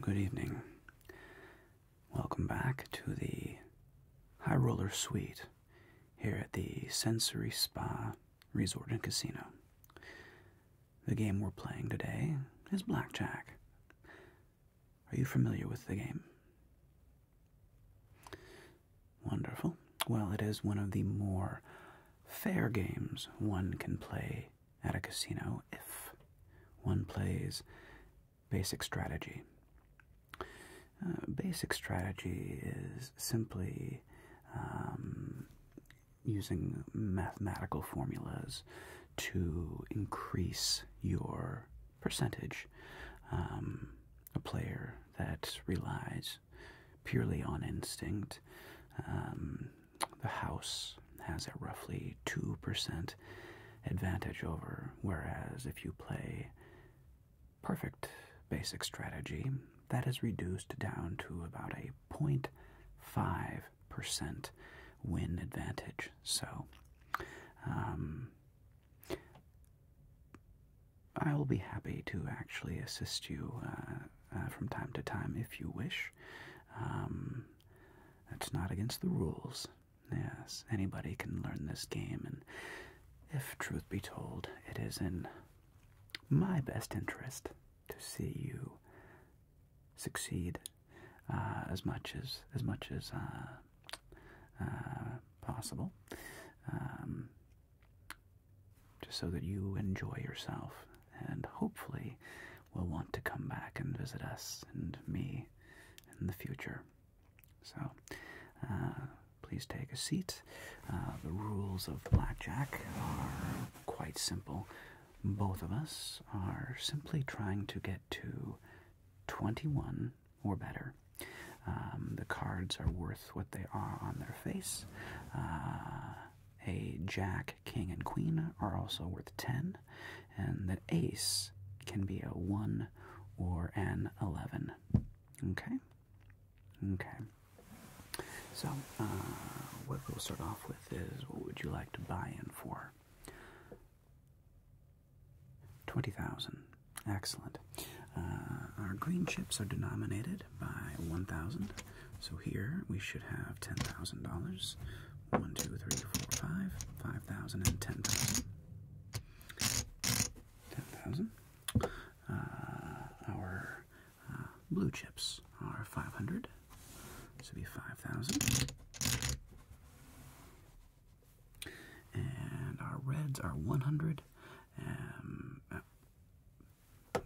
Good evening. Welcome back to the High Roller Suite here at the Sensory Spa Resort and Casino. The game we're playing today is Blackjack. Are you familiar with the game? Wonderful. Well, it is one of the more fair games one can play at a casino if one plays basic strategy. Uh, basic strategy is simply um, using mathematical formulas to increase your percentage. Um, a player that relies purely on instinct. Um, the house has a roughly 2% advantage over, whereas if you play perfect basic strategy, that is reduced down to about a point five percent win advantage. So, um, I will be happy to actually assist you uh, uh, from time to time if you wish. Um, that's not against the rules. Yes, anybody can learn this game, and if truth be told, it is in my best interest to see you succeed uh, as much as as much as possible. Um, just so that you enjoy yourself and hopefully will want to come back and visit us and me in the future. So, uh, please take a seat. Uh, the rules of blackjack are quite simple. Both of us are simply trying to get to 21 or better. Um, the cards are worth what they are on their face. Uh, a jack, king, and queen are also worth 10, and the ace can be a 1 or an 11. Okay? Okay. So, uh, what we'll start off with is what would you like to buy in for? 20,000. Excellent. Uh, our green chips are denominated by 1,000. So here we should have $10,000. 1, 2, 3, 4, 5, 5,000 and 10,000. 10,000. Uh, our uh, blue chips are 500. This be 5,000. And our reds are 100. Um,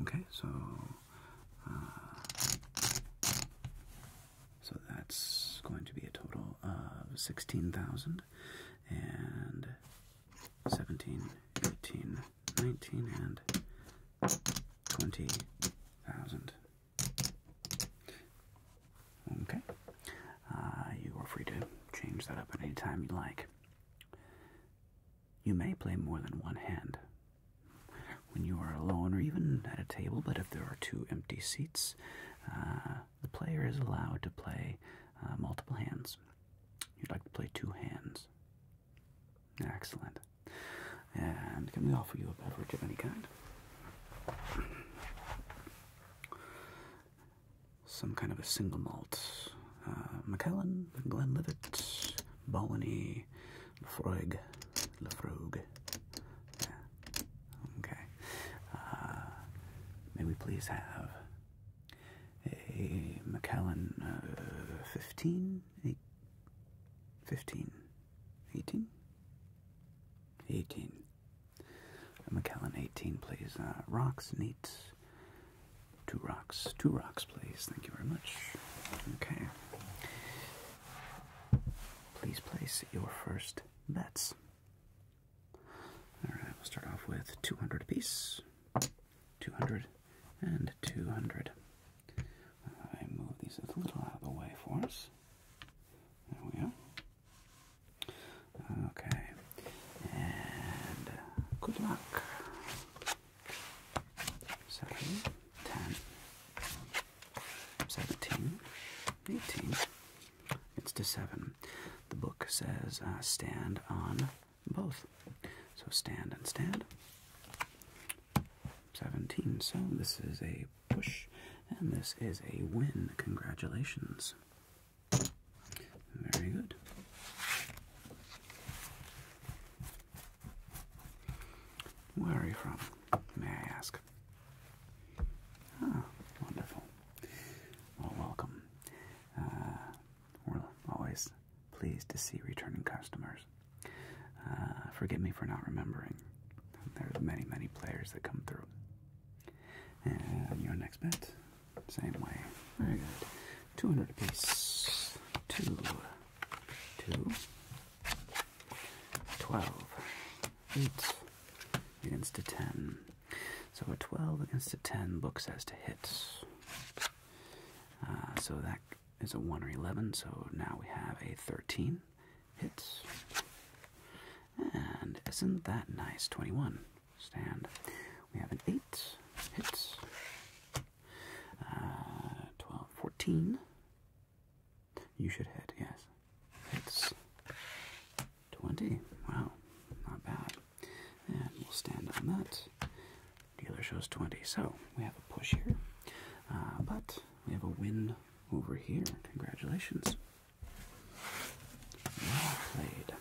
Okay, so uh, so that's going to be a total of sixteen thousand and seventeen, eighteen, nineteen, and twenty thousand. Okay, uh, you are free to change that up at any time you like. You may play more than one hand when you are alone or even at a table, but if there are two empty seats, uh, the player is allowed to play uh, multiple hands. You'd like to play two hands. Excellent. And can we offer you a beverage of any kind? Some kind of a single malt uh, Glenlivet, Balany, Lefroig, Lefroig. Okay. Uh, may we please have a McKellen uh, 15, 15, 18? 18. A 18, please. Uh, rocks, neat, Two rocks. Two rocks, please. Thank you very much. Okay. Please place your first bets. Alright, we'll start off with 200 apiece. 200 and 200. I move these a little out of the way for us. There we are. Okay. And good luck seven, ten, seventeen, eighteen. It's to seven. The book says uh, stand on both. So stand and stand. Seventeen. So this is a push, and this is a win. Congratulations. Very good. Where are you from, may I ask? Ah, wonderful. Well, welcome. Uh, we're always pleased to see returning customers. Uh, forgive me for not remembering. There are many, many players that come through. And your next bet, same way. Very good. 200 apiece. Two, two, 12, 8 against a 10. So a 12 against a 10 looks as to hit. Uh, so that is a 1 or 11, so now we have a 13 hits. And isn't that nice? 21. Stand. We have an 8 hits. Uh, You should hit, yes. It's 20. Wow, not bad. And we'll stand on that. Dealer shows 20. So we have a push here. Uh, but we have a win over here. Congratulations. played.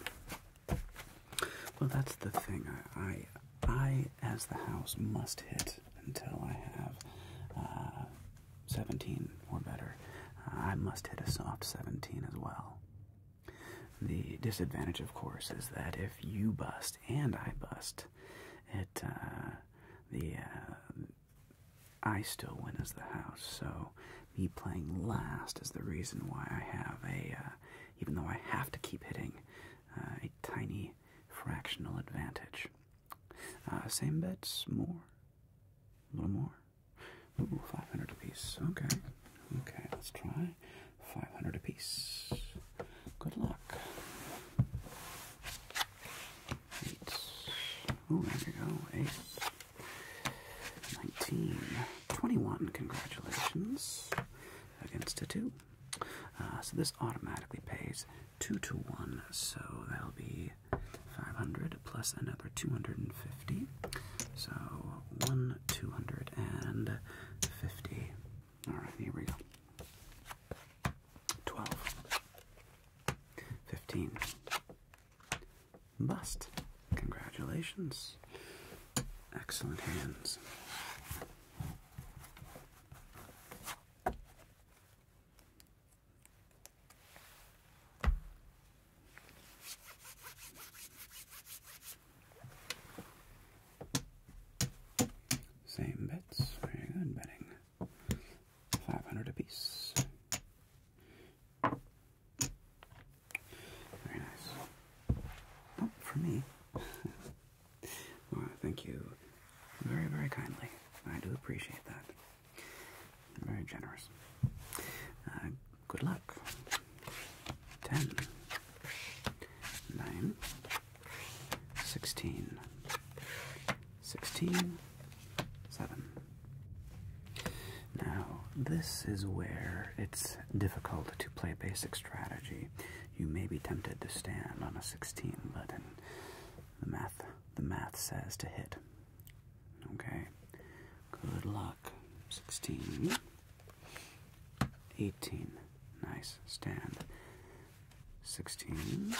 Well, that's the thing. I, I, as the house, must hit until I have uh, 17 or better. I must hit a soft 17 as well. The disadvantage, of course, is that if you bust and I bust, it uh, the uh, I still win as the house. So me playing last is the reason why I have a. even though I have to keep hitting uh, a tiny fractional advantage. Uh, same bets, more, a little more. Ooh, 500 apiece. Okay, okay, let's try 500 apiece. Good luck. Eight. Ooh, there we go. Eight. 19. 21. Congratulations. Against a two. Uh, so this automatically pays 2 to 1, so that'll be 500 plus another 250. So 1, 250. Alright, here we go. 12. 15. Bust. Congratulations. Excellent hands. Same bets, very good betting. 500 apiece. Very nice. Not for me. Laura, thank you very, very kindly. I do appreciate that. very generous. Uh, good luck. Ten. Sixteen. Sixteen. Seven. Now, this is where it's difficult to play basic strategy you may be tempted to stand on a 16, but the math the math says to hit. Okay. Good luck. 16. Nice. Stand. 16.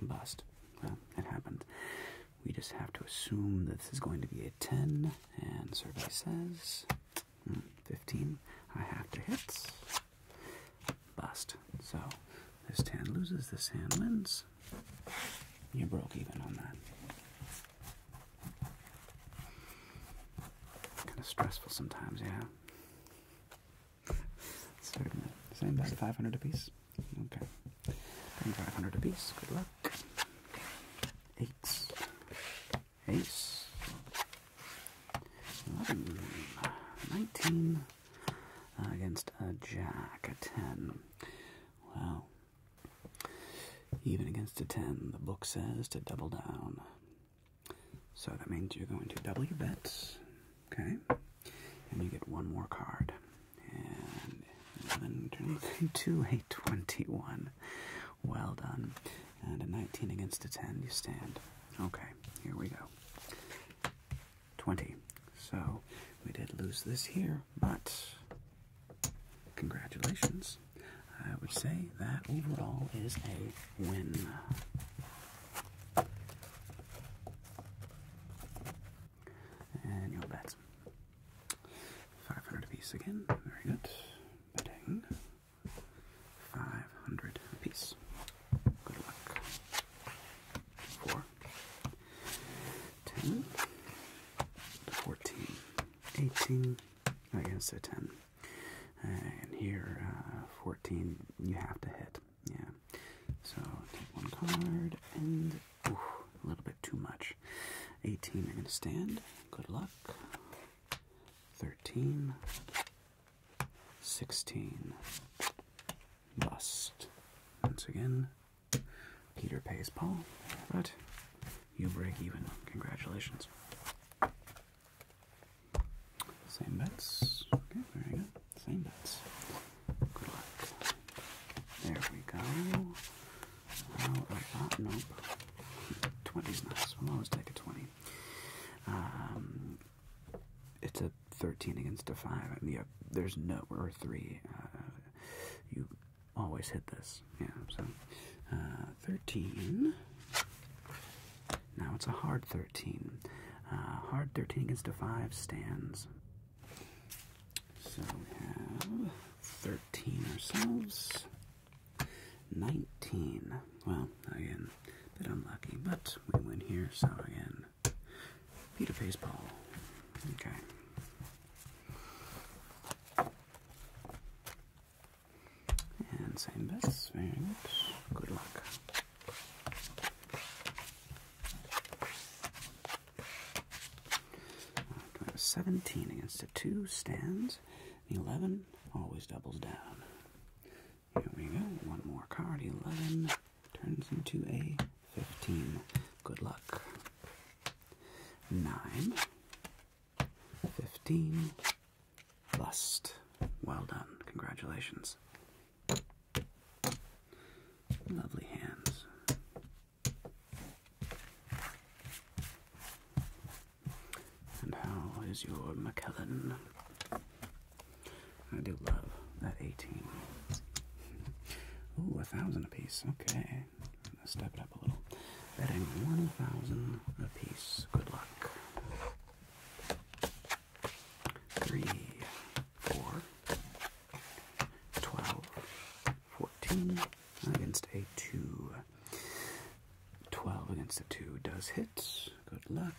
Bust. Well, it happened. We just have to assume that this is going to be a 10, and survey says 15 I have to hit. Bust. So this hand loses, this hand wins. You broke even on that. Kind of stressful sometimes, yeah. Same bet, 500 apiece. Okay. 500 apiece. Good luck. Eights. Ace. 11, 19 uh, against a jack, a 10. Well, even against a 10, the book says to double down. So that means you're going to double your bets, okay? And you get one more card. And 11 turning into a 21. Well done. And a 19 against a 10, you stand. Okay, here we go. 20. So we did lose this here, but congratulations. I would say that overall is a win. And you bet. 500 apiece again. Very good. Betting. 500 apiece. Good luck. 4, 18, I guess a 10. And here, uh, 14, you have to hit. Yeah. So take one card and a little bit too much. 18, you're going to stand. Good luck thirteen, sixteen. Must, Once again, Peter pays Paul, but you break even. Congratulations. Same bets. Okay, very good. Same bets. Good luck. There we go. How nope? 20's nice. We'll always take a 20. Um, it's a 13 against a 5. I yeah, there's no, or 3. Uh, you always hit this. Yeah, so uh, 13. Now it's a hard 13. Uh, hard 13 against a 5 stands. So we have 13 ourselves. 19. Well, again, a bit unlucky, but we win here, so again, Peter Pays Paul. Okay. And same bets, very good. Good luck. 17 against a 2 stands, 11 always doubles down. Here we go. One more card. 11 turns into a 15. Good luck. 9. 15. Bust. Well done. Congratulations. Lovely hands. And how is your McKellen? I do love that 18. Ooh, a thousand apiece. Okay. Let's step it up a little. Betting 1,000 apiece. Good luck. Three, four, 12, against a 2. 12 against the 2 does hit. Good luck.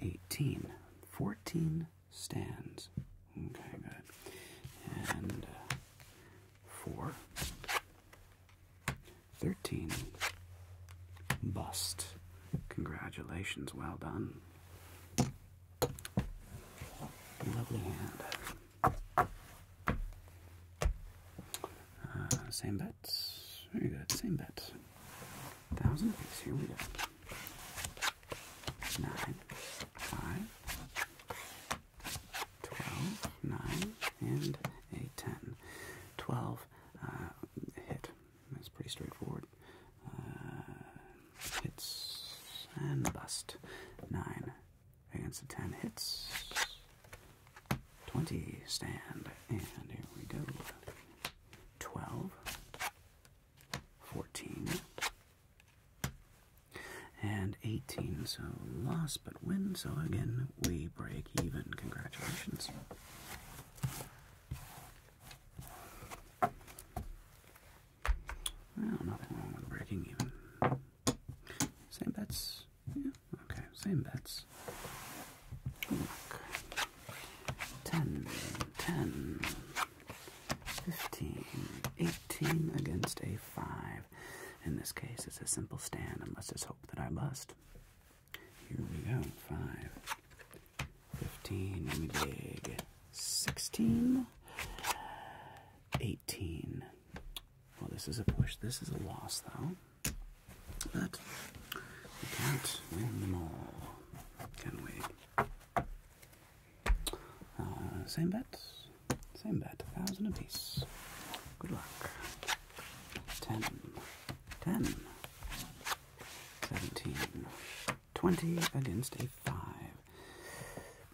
18. 14 stands. Okay, good. And uh, 13. Bust. Congratulations, well done. Lovely hand. Uh, same bet. Same bet. Thousand Here we go. Nine, five, twelve, nine, and a ten. Twelve uh, hit. That's pretty straightforward. Uh, hits and bust. Nine against a ten hits. 20 stand, and here we go. 12, 14, and 18. So lost, but win. So again, we break even. Congratulations. Well, nothing wrong with breaking even. Same bets bets? Yeah, okay, same bets. Look. 10, 10, 15, 18 against a 5. In this case, it's a simple stand. I must just hope that I bust. Here we go. 5, 15, and we dig. 16, 18. Well, this is a push. This is a loss, though. But we can't win them all, can we? Uh, same bet, same bet, a thousand apiece. Good luck. Ten, ten, seventeen, twenty against a five.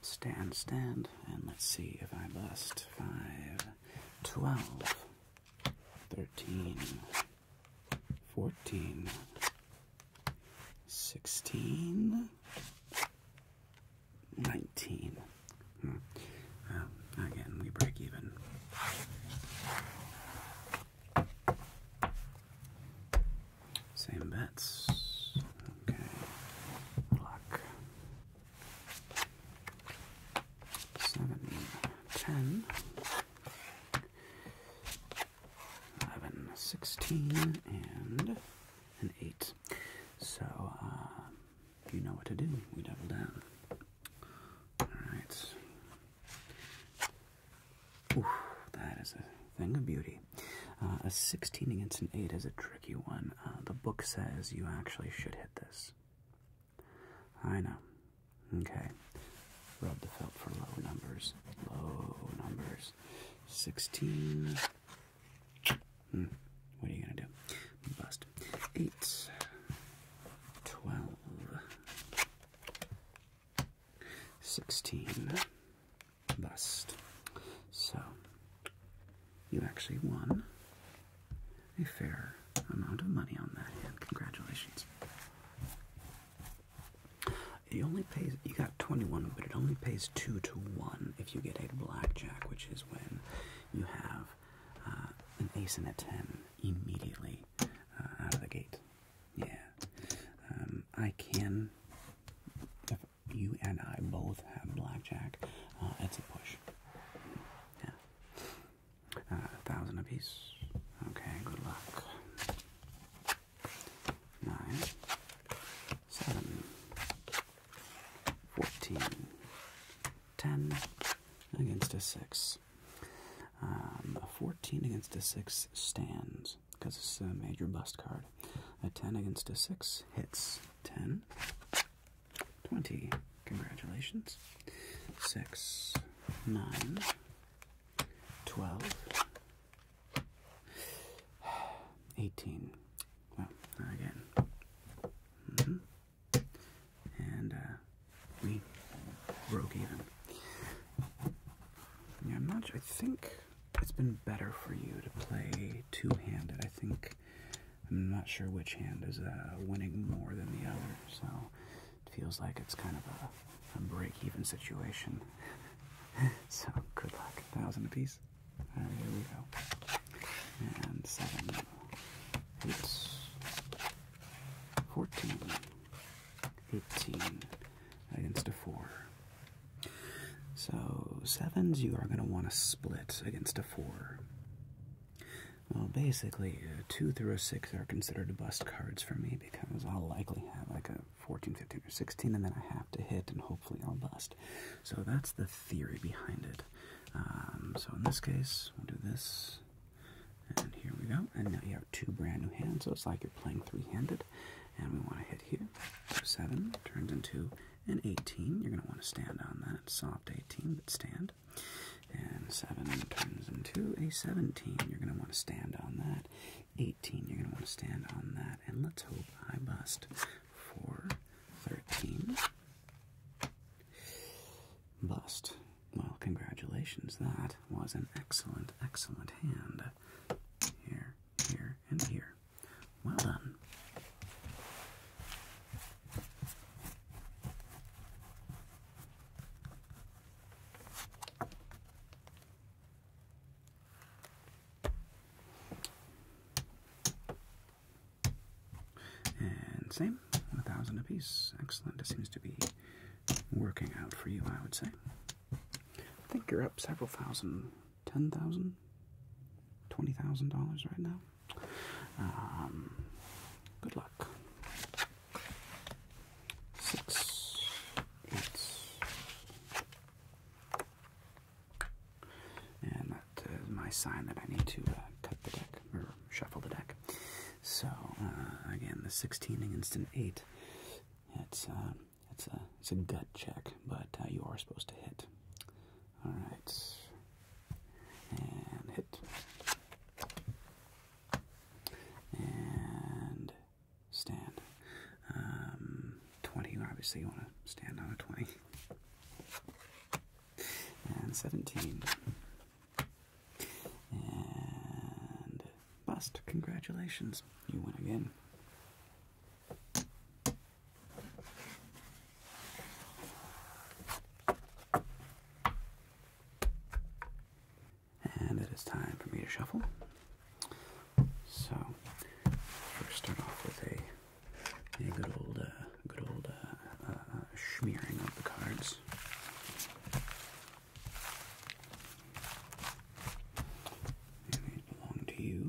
Stand, stand, and let's see if I bust. Five, twelve, 13, 14, 16, 19. again, hmm. we break even. Same bets. Okay. Luck seven, ten, eleven, sixteen, and an eight. So uh, you know what to do. We double down. All right. Oof, that is a thing of beauty. Uh, a 16 against an 8 is a tricky one. Uh, the book says you actually should hit this. I know. Okay. Rub the felt for low numbers. Low numbers. 16. Hmm. What are you going to do? Bust. 8. 12. 16. Bust. So, you actually won a fair amount of money on that hand. Congratulations. It only pays, you got 21, but it only pays 2 to 1 if you get a blackjack, which is when you have uh, an ace and a 10 immediately uh, out of the gate. Yeah. Um, I can, if you and I both have blackjack, uh, it's a push. Yeah. Uh, a thousand apiece. Okay, good luck. Nine, seven, fourteen, ten against a six. Um, a fourteen against a six stands because it's a major bust card. A ten against a six hits. Ten. 20. Congratulations. 6, 9, 12, 18. Well, again. Mm-hmm. And uh, we broke even. Yeah, I'm not I think it's been better for you to play two handed. I think. I'm not sure which hand is uh, winning more than the other, so feels like it's kind of a, break-even situation. so good luck. thousand apiece. here we go. And seven, eight, 14, 18 against a four. So sevens you are going to want to split against a four. Well, basically, 2 through 6 are considered bust cards for me because I'll likely have like a 14, 15, or 16, and then I have to hit, and hopefully I'll bust. So that's the theory behind it. Um, so in this case, we'll do this, and here we go. And now you have two brand new hands, so it's like you're playing three-handed. And we want to hit here. So 7 turns into an 18. You're going to want to stand on that. Soft 18, but stand. And 7 turns into a 17. You're going to want to stand on that. 18, you're going to want to stand on that. And let's hope I bust for 13. Bust. Well, congratulations. That was an excellent, excellent hand. Here, here, and here. Well done. And same, a thousand apiece. Excellent. It seems to be working out for you, I would say. I think you're up several thousand, ten thousand, twenty thousand dollars right now. Um, good luck six, eight, and that is my sign that I need to uh, cut the deck or shuffle the deck. So uh, again, the sixteen against an eight. It's uh, it's a it's a gut check, but uh, you are supposed to hit. All right, and hit and stand. Um, 20, obviously, you want to stand on a 20. And 17. And bust. Congratulations. You win again. And it is time for me to shuffle. So, first start off with a, a good old, uh, good old uh, uh, uh smearing of the cards. And these belong to you.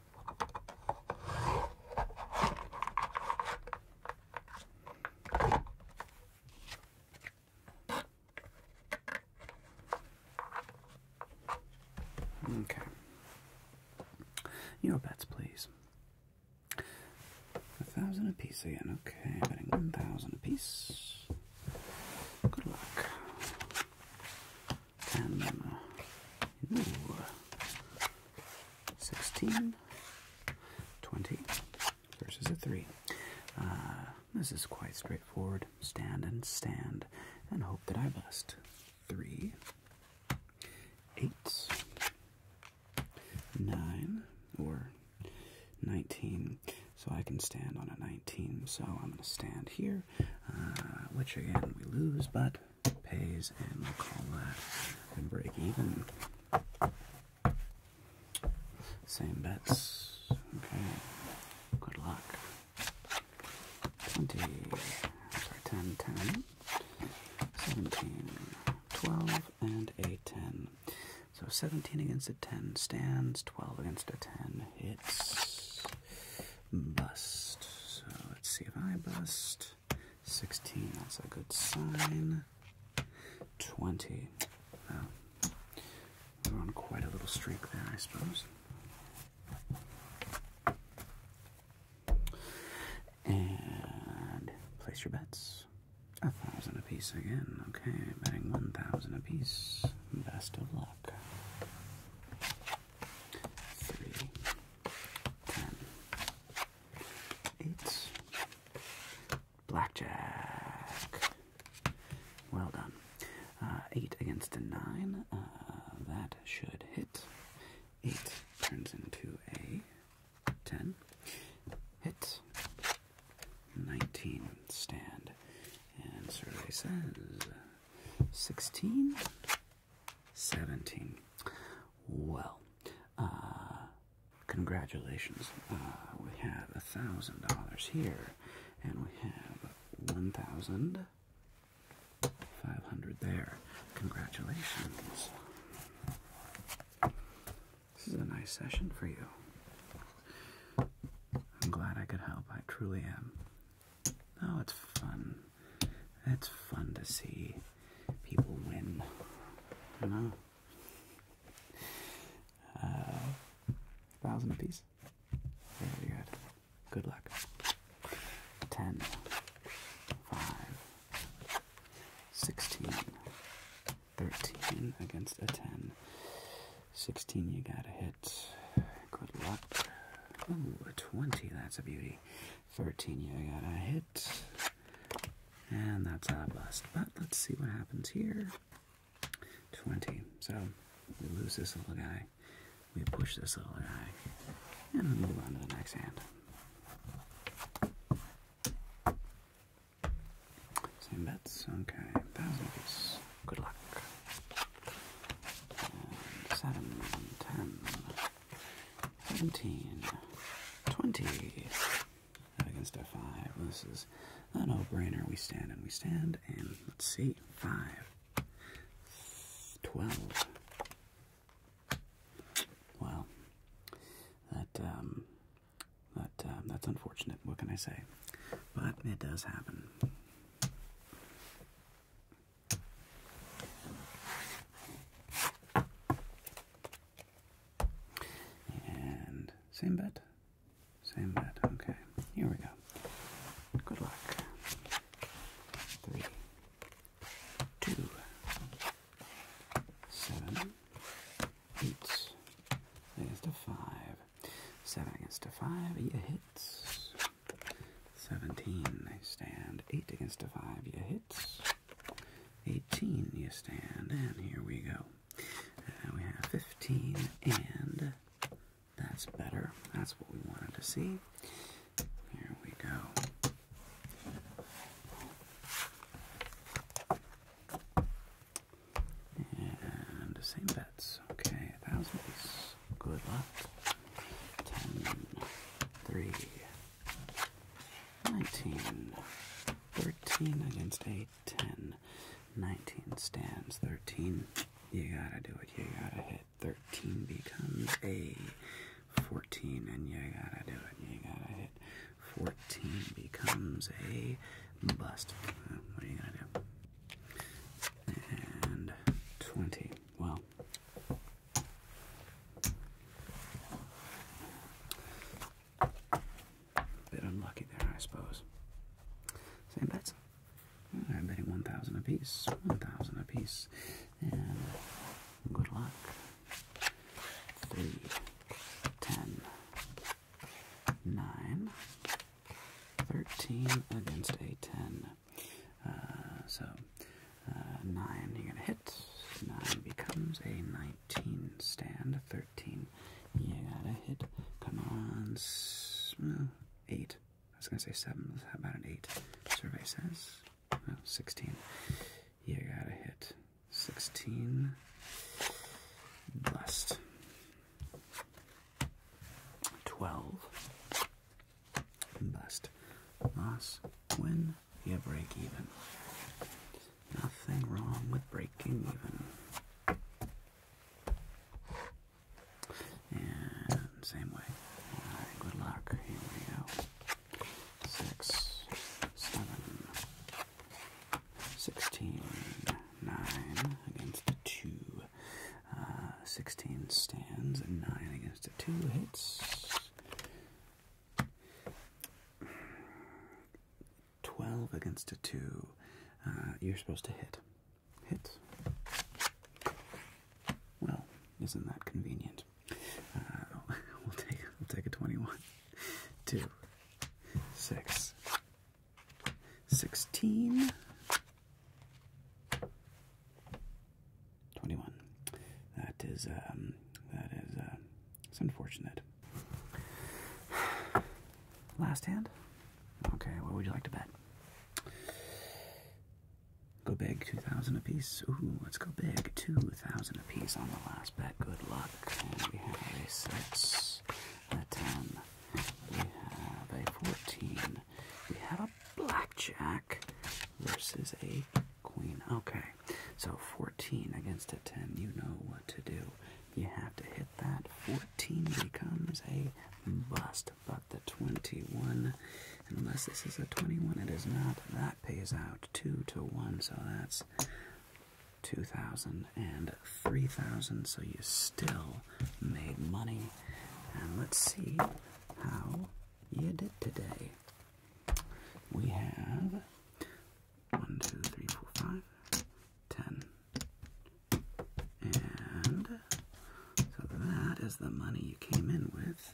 Okay. Your bets, please. A thousand apiece again. Okay, betting one thousand apiece. Good luck. And, 16, 20 versus a 3. Uh, this is quite straightforward. Stand and stand and hope that I bust. 3, 8, 9, or 19. So I can stand on a 19. So I'm going to stand here, uh, which again we lose, but pays, and call that a break even. Same bets. Okay. Good luck. 20, sorry, 10, 10, 17, 12, and a 10. So 17 against a 10 stands, 12 against a 10 hits. Bust. So let's see if I bust. 16, that's a good sign. 20. we're on quite a little streak there, I suppose. And place your bets. A thousand apiece again. Okay, betting one thousand apiece. Best of luck. Three, ten, Eight. Blackjack. Well done. Uh, eight against a nine. Uh, that should hit. Eight turns into a ten. Hit. Nineteen stand. And survey says sixteen. 17. Well, uh, congratulations. Uh, we have a thousand dollars here, and we have one thousand five hundred there. Congratulations. This is a nice session for you. I'm glad I could help. I truly am. Oh, it's fun. That's fun to see people win, you know? Uh, thousand apiece. Very good. Good luck. Ten. Sixteen. Thirteen against a ten. Sixteen you gotta hit. Good luck. Ooh, a twenty, that's a beauty. Thirteen you gotta hit. And that's out bust. But let's see what happens here. 20. So we lose this little guy. We push this little guy. And we move on to the next hand. Same bets. Okay. Thousand apiece. Good luck. And seven, ten. 17, 20. Against a 5. This is a no brainer. We stand and we stand. And let's see. 5, 12. Well, that, um, that, um, that's unfortunate. What can I say? But it does happen. And same bet, same bet. Okay, here we go. Good luck. Three, two, seven, eight against a five, seven against a five. You hits. Seventeen. I stand eight against a five. You hits. 18 you stand, and here we go. And uh, we have 15, and that's better. That's what we wanted to see. Here we go. And the same bets. Okay, a good luck. Ten, three, 19. 13 against a 10. 19 stands. 13. You gotta do it. You gotta hit. 13 becomes a 14, and you gotta do it. You gotta hit. 14 becomes a bust. What are you gonna do? And 20. Well, Bit unlucky there, I suppose. Same bets. I'm betting 1,000 apiece. 1,000 apiece. And good luck. 3, 13 against a 10. Uh, so, uh, 9, you're going to hit. 9 becomes a 19 stand. 13. You gotta hit. Come on. No, mm, 8. I was gonna say 7. How about an 8? Survey says. No, 16. You gotta hit. 16. Blessed. 12. Bust. Loss. Win. Yeah, break even. Nothing wrong with breaking even. And same way. Alright, good luck. Here we go. Six, seven, sixteen, nine against a two. Uh, sixteen stands and nine against a two hits. 12 against a 2. Uh, you're supposed to hit. Hits. Well, isn't that convenient? Uh, we'll take we'll take a 21. 2, 6, 16. 21. That is, um, that is, uh, it's unfortunate. Last hand? Okay, what would you like to bet? Go big, 2,000 apiece. Ooh, let's go big, 2,000 apiece on the last bet. Good luck. we have a 6, a 10, we have a 14, we have a blackjack versus a Queen. Okay. So 14 against a 10. You know what to do. You have to hit that. 14 becomes a bust. But the 21, unless this is a 21, it is not. That pays out 2 to 1. So that's 2,000 and 3,000. So you still made money. And let's see how you did today we have one, two, three, four, five, ten. And so that is the money you came in with.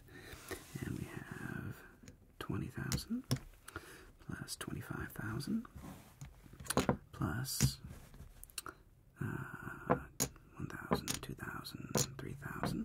And we have 20,000 plus 25,000 plus uh, 1,000, 2,000, 3,000.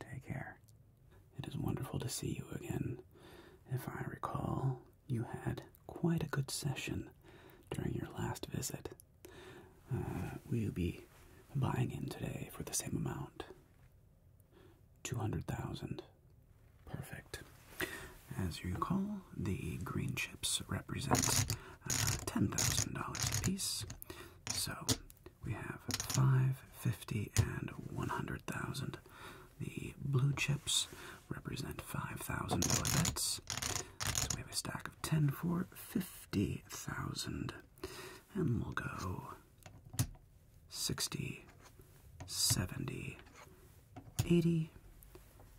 Take care. It is wonderful to see you again. If I recall, you had quite a good session during your last visit. Uh, will you be buying in today for the same amount? 200,000. Perfect. As you recall, the green chips represent uh, $10,000 apiece. So we have 5, and 100,000. The blue chips represent 5,000 bets. So we have a stack of 10 for 50,000. And we'll go 60, 70, 80,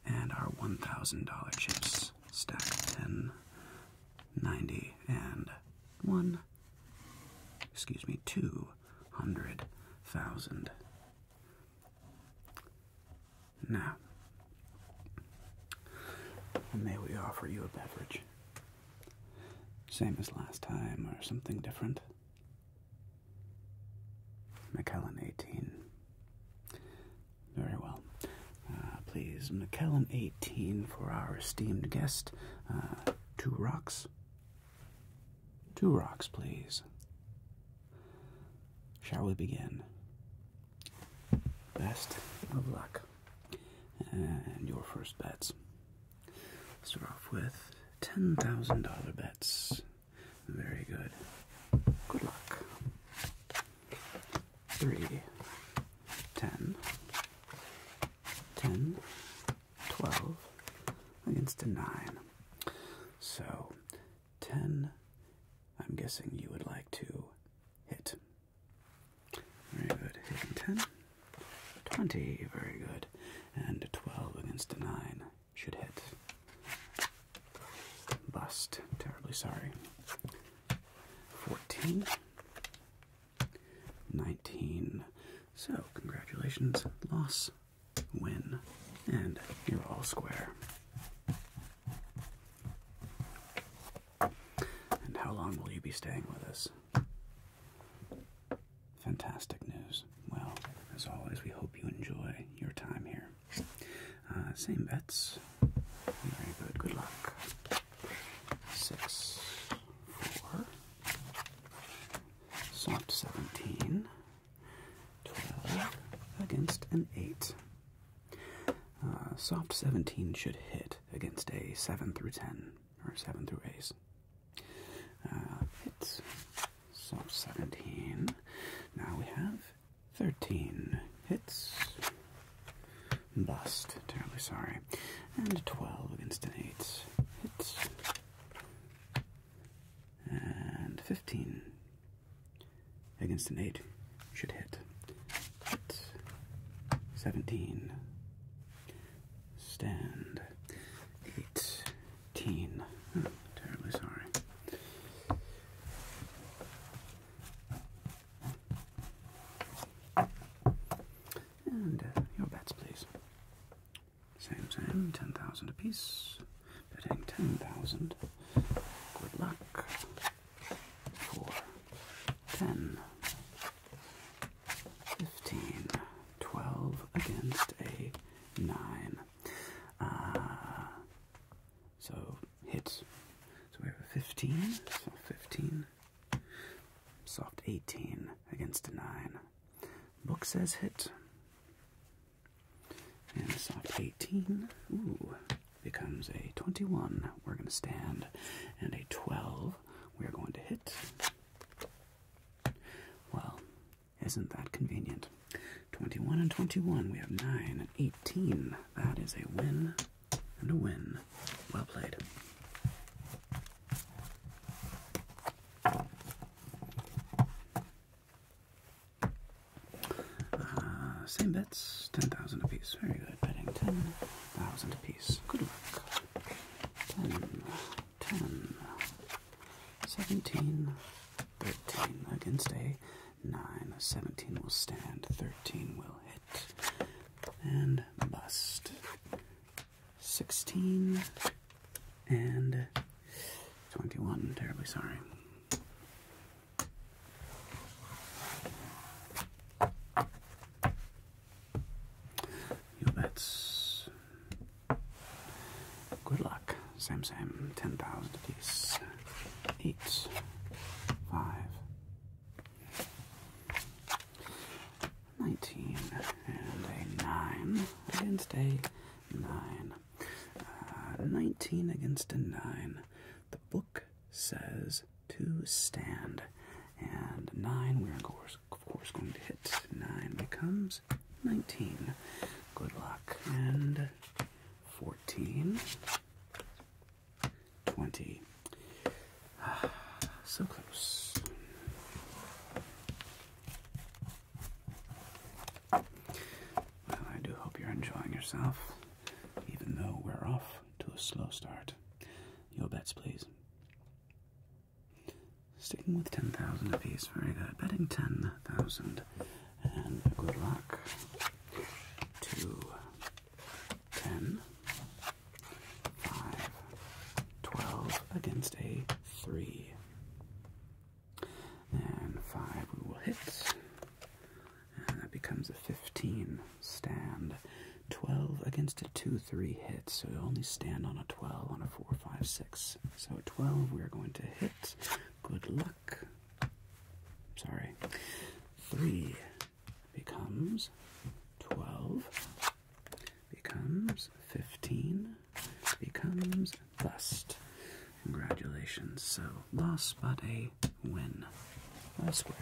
and our $1,000 chips. Stack 10 ninety and one, excuse me, two hundred thousand. Now, may we offer you a beverage? Same as last time, or something different? McKellen 18. Very well. Uh, please, McKellen 18 for our esteemed guest. Uh, two rocks. Two rocks, please. Shall we begin? Best of luck. And your first bets. Start off with $10,000 bets. Very good. Good luck three, ten, ten, twelve against a nine. So ten. I'm guessing you would like to hit. Very good. Hitting ten. Twenty. Very good. And twelve against a nine should hit. Bust. Terribly sorry. Fourteen. 19. So, congratulations. Loss, win, and you're all square. And how long will you be staying with us? Fantastic news. Well, as always, we hope you enjoy your time here. Uh, same bets. Very good. Good luck six, four. So 17, against an 8. Uh, soft 17 should hit against a 7 through 10, or 7 through A's. Uh, hits. Soft 17. Now we have 13 hits. Bust. Terribly sorry. And 12 against an 8. Hits. And 15 against an 8. Should hit. 17. Stand. 18. Oh, terribly sorry. And uh, your bets, please. Same, same, 10,000 apiece. Betting 10,000. Good luck. 4, 10, 15, 12 against a 9. Uh, so hits. So we have a 15, 15, Soft 18 against a 9. Book says hit. And soft 18, becomes a 21. We're going to stand. And a 12, we're going to hit. Well, isn't that convenient? 21 and 21, we have 9 and 18. That is a win and a win. Well played. Uh, same bets, 10,000 apiece. Very good, betting 10,000 apiece. Good luck. 10, 17, 13 against a 9. 17 will stand, 13 will hit, and bust. 16 and 21. terribly sorry. Yo, that's good luck. Same, same. 10,000 apiece. 8, 5, 19 and a 9 against a 9. Uh, 19 against a 9. The book says to stand. And 9, we're of course going to hit. 9 becomes 19. Good luck. And 14. 20. Ah, so close. Well, I do hope you're enjoying yourself, even though we're off to a slow start. Your bets, please. Sticking with 10,000 apiece, very good. Betting 10,000. And good luck. Two, ten, 5, against a 3. And 5 we will hit. And that becomes a 15 stand. 12 against a 2 3 hit, so you only stand on a 12, on a 4, 5, 6. So 12 we are going to hit. Good luck. Sorry. 3, becomes 12, becomes 15, becomes thus. Congratulations. So, loss but a win. Last square.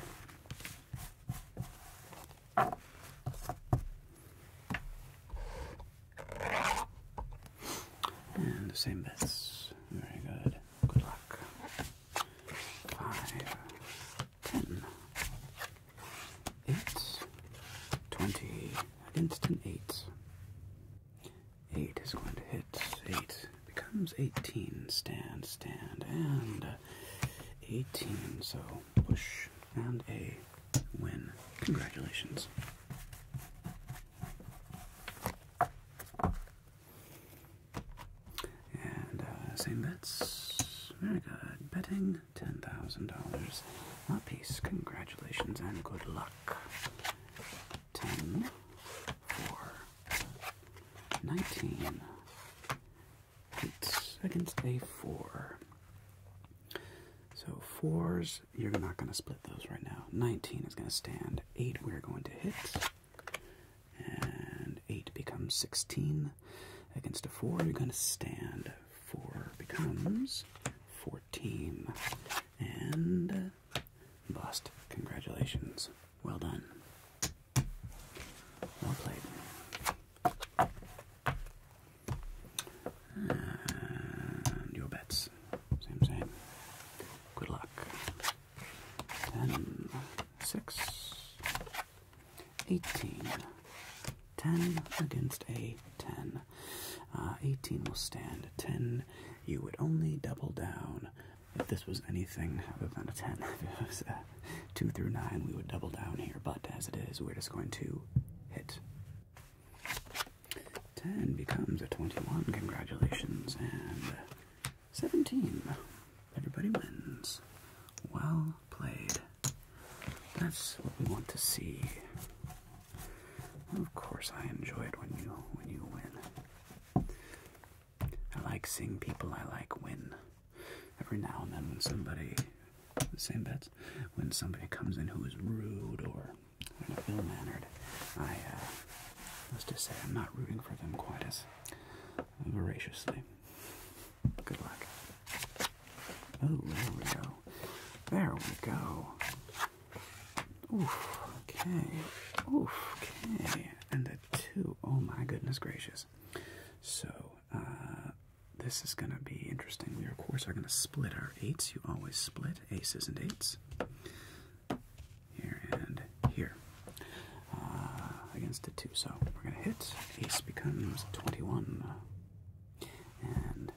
And the same bets. Very good. Good luck. Five, 10. 8, 20 against an 8. 8 is going to hit 8. Becomes 18. Stand, stand, and 18. So push and a win. Congratulations. And uh, same bets. Very good. Betting $10,000 a piece. Congratulations and good luck. 10, 19, 8 against a 4. So fours, you're not going to split those right now. 19 is going to stand. 8 we're going to hit. And 8 becomes 16. Against a 4, you're going to stand. 4 becomes 14. And uh, bust. Congratulations. Well done. Well played. And your bets. Same, same. Good luck. Ten, six, 18. 10 against a 10. Uh, 18 will stand. 10, you would only double down if this was anything other than a 10. if it was a 2 through 9, we would double down here, but as it is, we're just going to hit. 10 becomes a 21. Congratulations. And 17. Everybody wins. Well played. That's what we want to see. Of course, I enjoy it when you when you win. I like seeing people I like win. Every now and then, when somebody, the same bets, when somebody comes in who is rude or ill mannered, I must uh, just say I'm not rooting for them quite as voraciously. Good luck. Oh, there we go. There we go. okay. okay. And the two. Oh my goodness gracious. So, uh, this is going to be interesting. We, of course, are going to split our eights. You always split aces and eights. Here and here. Uh, uh, against a 2, so we're going to hit. Ace becomes 21. Uh, and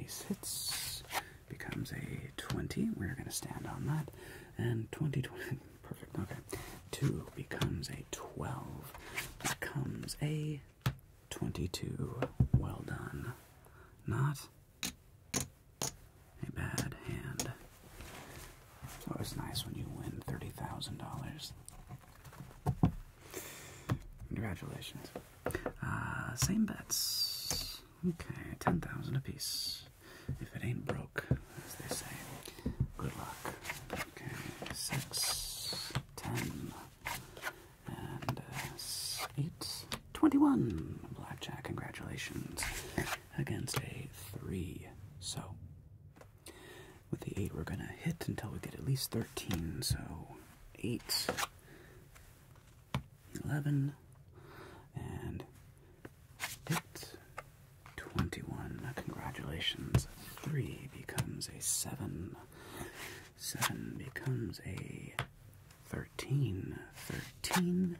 ace hits becomes a 20. We're going to stand on that. And 20, perfect, okay. 2 becomes a 12, becomes a 22. Well done. Not a bad hand. It's always nice when you win $30,000. Congratulations. Uh, same bets. Okay, 10,000 apiece. If it ain't broke, as they say. Good luck. Okay, 6, 10, and uh, 8, 21. Blackjack, congratulations. Against a 3. So, with the 8, we're going to hit until we get at least 13. So 8, 11, and hit 21. Congratulations. 3 becomes a 7. 7 becomes a 13. 13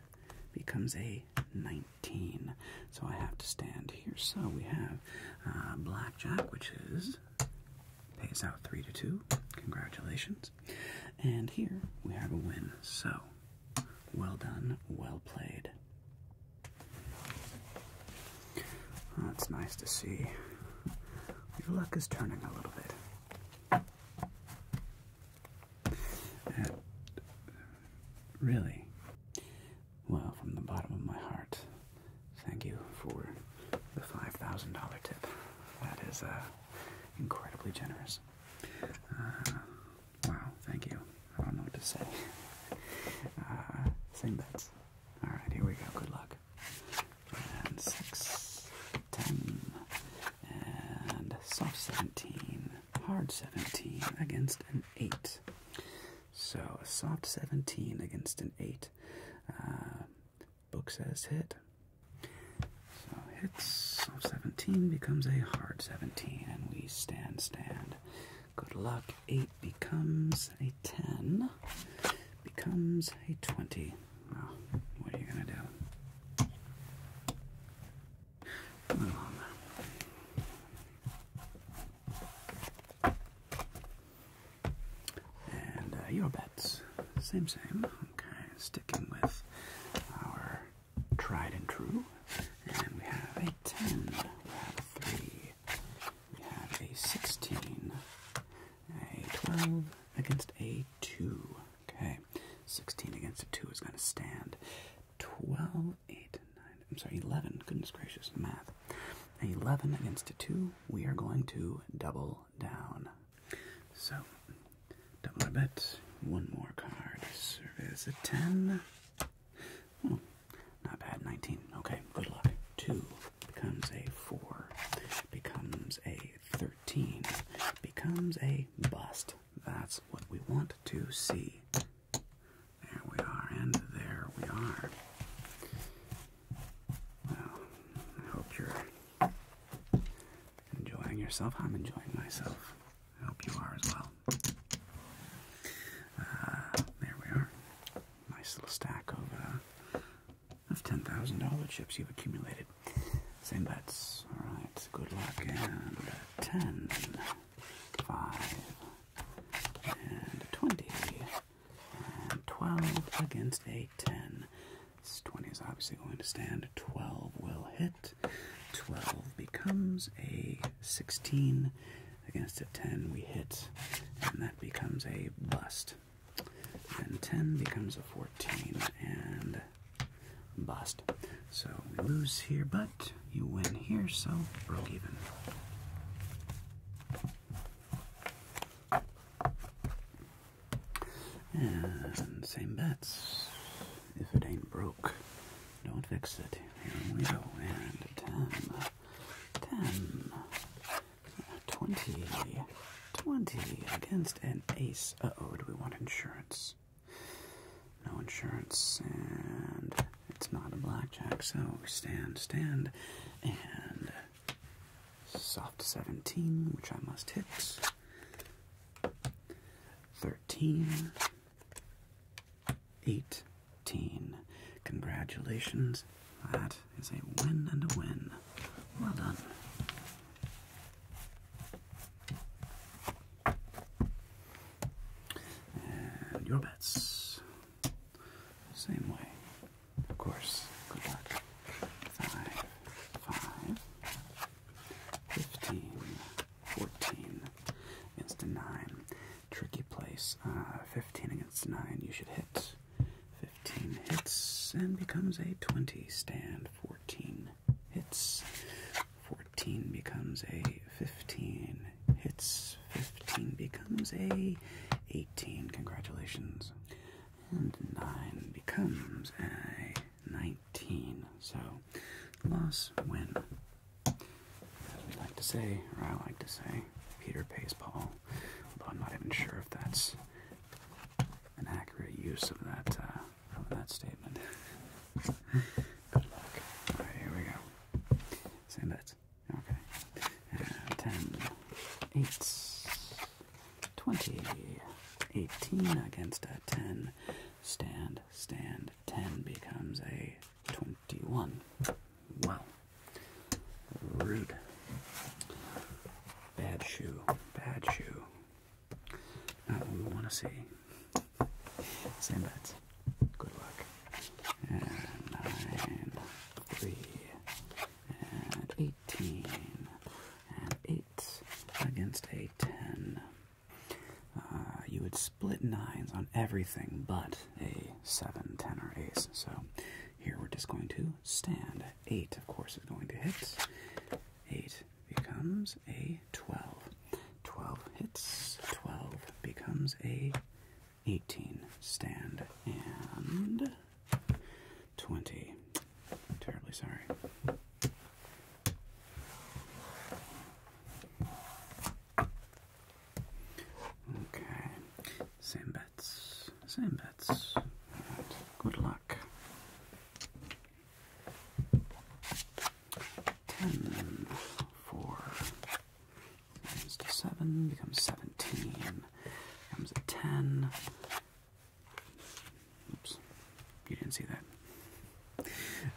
becomes a 19. So I have to stand here. So we have uh, blackjack, which is Pays out three to two. Congratulations. And here we have a win. So well done, well played. That's nice to see your luck is turning a little bit. really, well, from the bottom of my heart, thank you for the $5,000 tip. That is uh, incredibly generous. Uh, wow, thank you. I don't know what to say. Uh, same bets. Alright, here we go. Good luck. And 6, and soft 17, hard 17 against an 8. So a soft 17 against an 8 uh, book says hit. So hits 17 becomes a hard 17, and we stand, stand. Good luck. 8 becomes a 10, becomes a 20. what are you going to do? And uh, your bets, same, same. Okay, sticking with our tried and true. And we have a 10, we have a 3, we have a 16, a 12 against a 2. Okay, 16 against a 2 is going to stand. 12, 8, 9, I'm sorry, 11, goodness gracious, math. 11 against a 2, we are going to double down. So, double our bet. One more card. Service a 10. Hmm, not bad, 19. Okay, good luck. 2 becomes a 4, becomes a 13, becomes a bust. That's what we want to see. There we are, and there we are. Well, I hope you're enjoying yourself. I'm enjoying myself. I hope you are as well. Uh, there we are. Nice little stack of uh, of ten thousand dollar chips you've accumulated. Same bets. All right. Good luck and ten, five, and twenty. 12 against a 10. This 20 is obviously going to stand. 12 will hit. 12 becomes a 16. Against a 10, we hit, and that becomes a bust. Then 10 becomes a 14, and bust. So we lose here, but you win here, so broke even. And same bets. If it ain't broke, don't fix it. Here we go. And 10, uh, 20, 20 against an ace. oh, do we want insurance? No insurance, and it's not a blackjack, so we stand, stand, and Soft 17, which I must hit. 13. 18. Congratulations. That is a win and a win. Well done. And your bets. Same way. Of course. Good Five, five, fifteen, fourteen against a nine. Tricky place. Uh, fifteen against nine. You should hit. Fifteen hits and becomes a twenty stand. Fourteen hits. Fourteen becomes a fifteen hits plus 15 becomes a 18. Congratulations. And 9 becomes a 19. So, loss, win. As we like to say, or I like to say, Peter pays Paul. Although I'm not even sure if that's an accurate use of that, uh, that statement. Good luck. Alright, here we go. Same bets. Okay. And uh, 10, 8, 20, 18 against 10. Stand, stand. 10 becomes a 21. Well, Rude. Bad shoe. Bad shoe. Not what we want to see. Same bets. Good luck. And nine, three, and 18 and 8 against a 10. Uh, you would split nines on everything but a 7, 10, or ace. So here we're just going to stand. 8, of course, is going to hit. 8 becomes a 12. 12 hits. 12 becomes a 18. Stand and 20. Terribly sorry. Okay. Same bets. Same bets. Good luck. Ten, four, Comes to 7, becomes 17, becomes a 10. Oops, you didn't see that.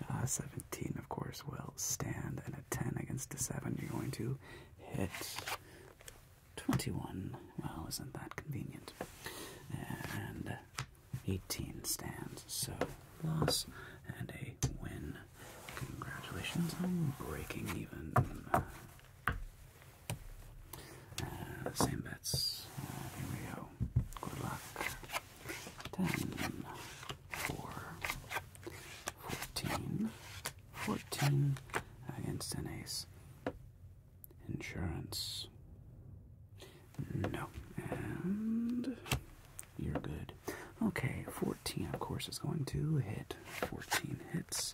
Uh, 17, of course, will stand, and a 10 against a 7, you're going to hit 21. Well, isn't that convenient? And 18 stands, so loss and a win. Congratulations on breaking even. Uh, same bets. Uh, here we go. Good luck. Ten, four, fourteen, fourteen against an ace. Insurance. No. And you're good. Okay, 14 of course is going to hit. 14 hits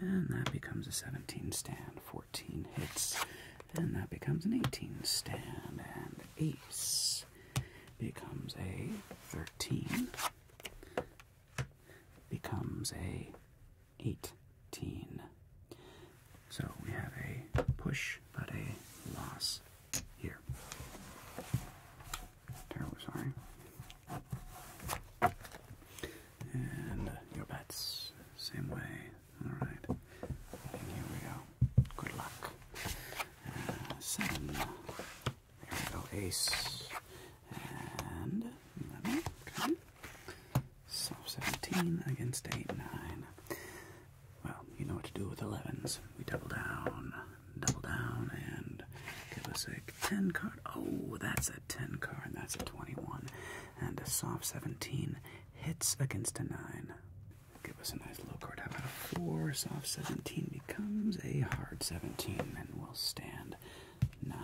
and that becomes a 17 stand. 14 hits, and that becomes an 18 stand. And ace becomes a 13, becomes a 18. So we have a push, but a loss here. Terribly sorry. And your bets, same way. Alright. here we go. Good luck. Uh, seven. There we go. Ace. And eleven. seventeen against eight, nine. Well, you know what to do with elevens. We double down, double down, and give us a ten card. Oh, that's it. 10 card, and that's a 21. And a soft 17 hits against a 9. Give us a nice low card. How about a 4? Soft 17 becomes a hard 17, and we'll stand 9,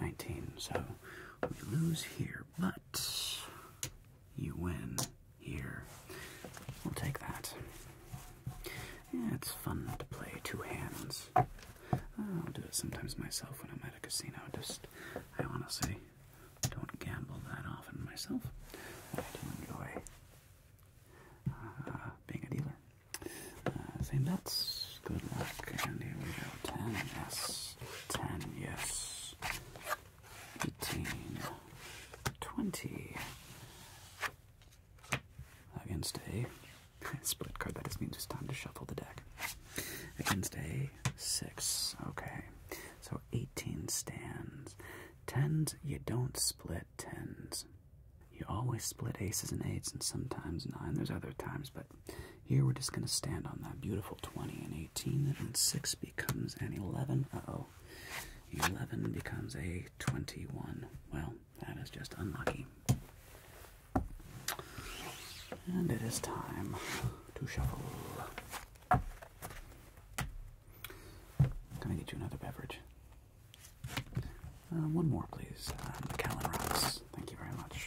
19. So we lose here, but you win here. We'll take that. Yeah, it's fun to play two hands. Oh, I'll do it sometimes myself when I'm at a casino. Just, I honestly don't gamble that often myself. I do enjoy uh, being a dealer. Uh, same bets. Good luck. And here we go. Ten. Yes. Ten. Yes. Eighteen. Twenty. Against a split card, that just means it's time to shuffle the deck. Against a six. Okay. So 18 stands. Tens, you don't split tens. You always split aces and eights and sometimes nine. There's other times, but here we're just going to stand on that beautiful 20 and 18. And 6 becomes an 11. Uh oh. 11 becomes a 21. Well, that is just unlucky. And it is time to shuffle. Can I get you another beverage? Uh, one more, please. Macallan um, Rocks. Thank you very much.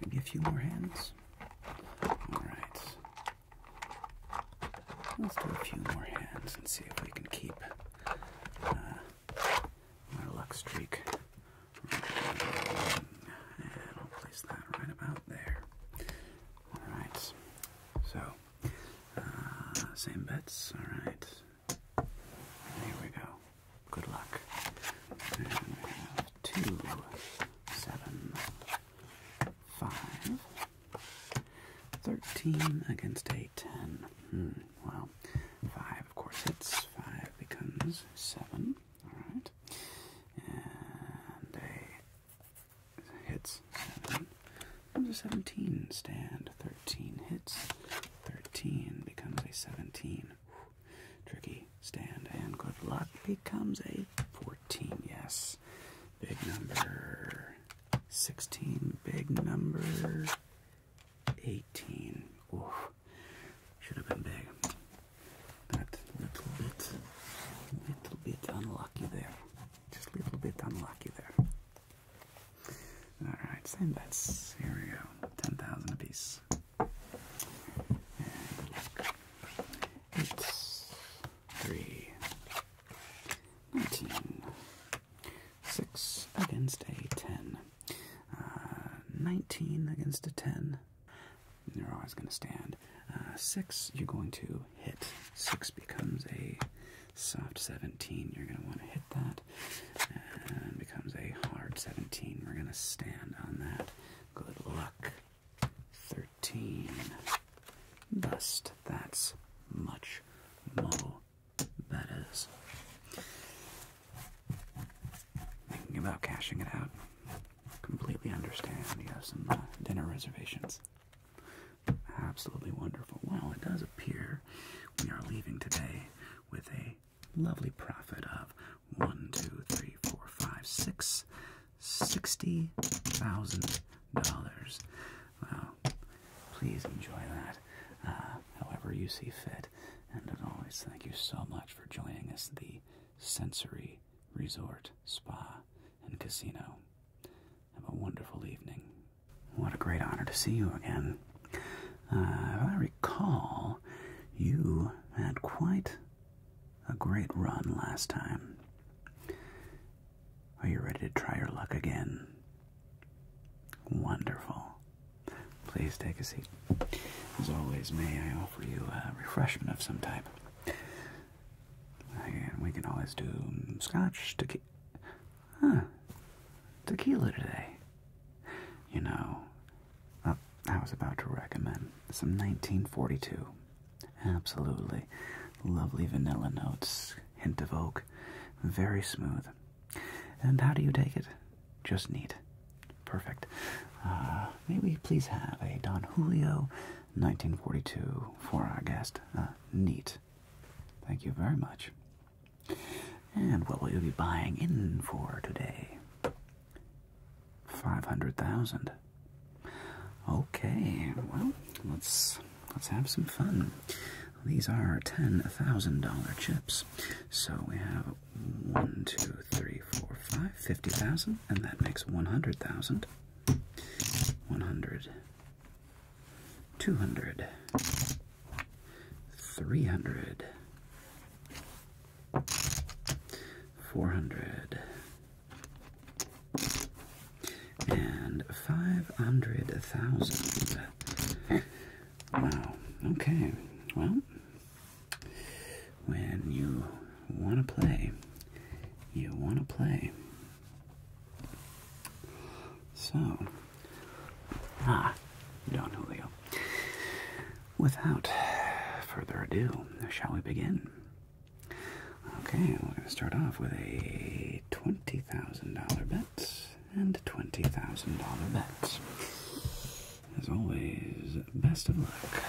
Maybe a few more hands. Alright. Let's do a few more hands and see if we can keep uh, luck streak. And I'll place that right about there. Alright. So, uh, same bets. Alright. There we go. Good luck. And two, seven, five, thirteen against a ten. Hmm, well, five of course hits. Five becomes seven. All right, and a hits seven. Comes a seventeen. Stand thirteen hits. Thirteen becomes a seventeen. Tricky stand and good luck becomes a 14. Yes. Big number 16. Big number 18. Oof. Should have been big. That little bit, little bit unlucky there. Just a little bit unlucky there. Alright, same bets. Here we go. 10,000 apiece. It's three. 6 against a 10. Uh, 19 against a 10. You're always going to stand. Uh, 6, you're going to hit. 6 becomes a soft 17. You're going to want to hit that and becomes a hard 17. We're going to stand on that. Good luck. 13. Bust. That's much more. That is. Thinking about cashing it out. Completely understand you have some uh, dinner reservations. Absolutely wonderful. Well, it does appear we are leaving today with a lovely profit of one, two, three, four, five, six, sixty thousand dollars. Wow! Please enjoy that, uh, however you see fit. And as always, thank you so much for joining us. At the Sensory Resort Spa and Casino. Have a wonderful evening. What a great honor to see you again. Uh, if I recall, you had quite a great run last time. Are you ready to try your luck again? Wonderful. Please take a seat. As always, may I offer you a refreshment of some type? we can always do scotch, tequila. Huh. Tequila today. You know, I was about to recommend some 1942. Absolutely lovely vanilla notes, hint of oak, very smooth. And how do you take it? Just neat. Perfect. Uh, may we please have a Don Julio 1942 for our guest? Uh, neat. Thank you very much. And what will you be buying in for today? Five hundred thousand. Okay, well, let's let's have some fun. These are ten thousand dollar chips. So we have one, two, three, four, five, fifty thousand, and that makes one hundred thousand. One hundred. Two hundred. Three hundred four hundred and five hundred thousand. Wow, okay, well, when you want to play, you want to play. So, ah, you don't know who we are. Without further ado, shall we begin? Okay, we're going to start off with a $20,000 bet and $20,000 bet. As always, best of luck.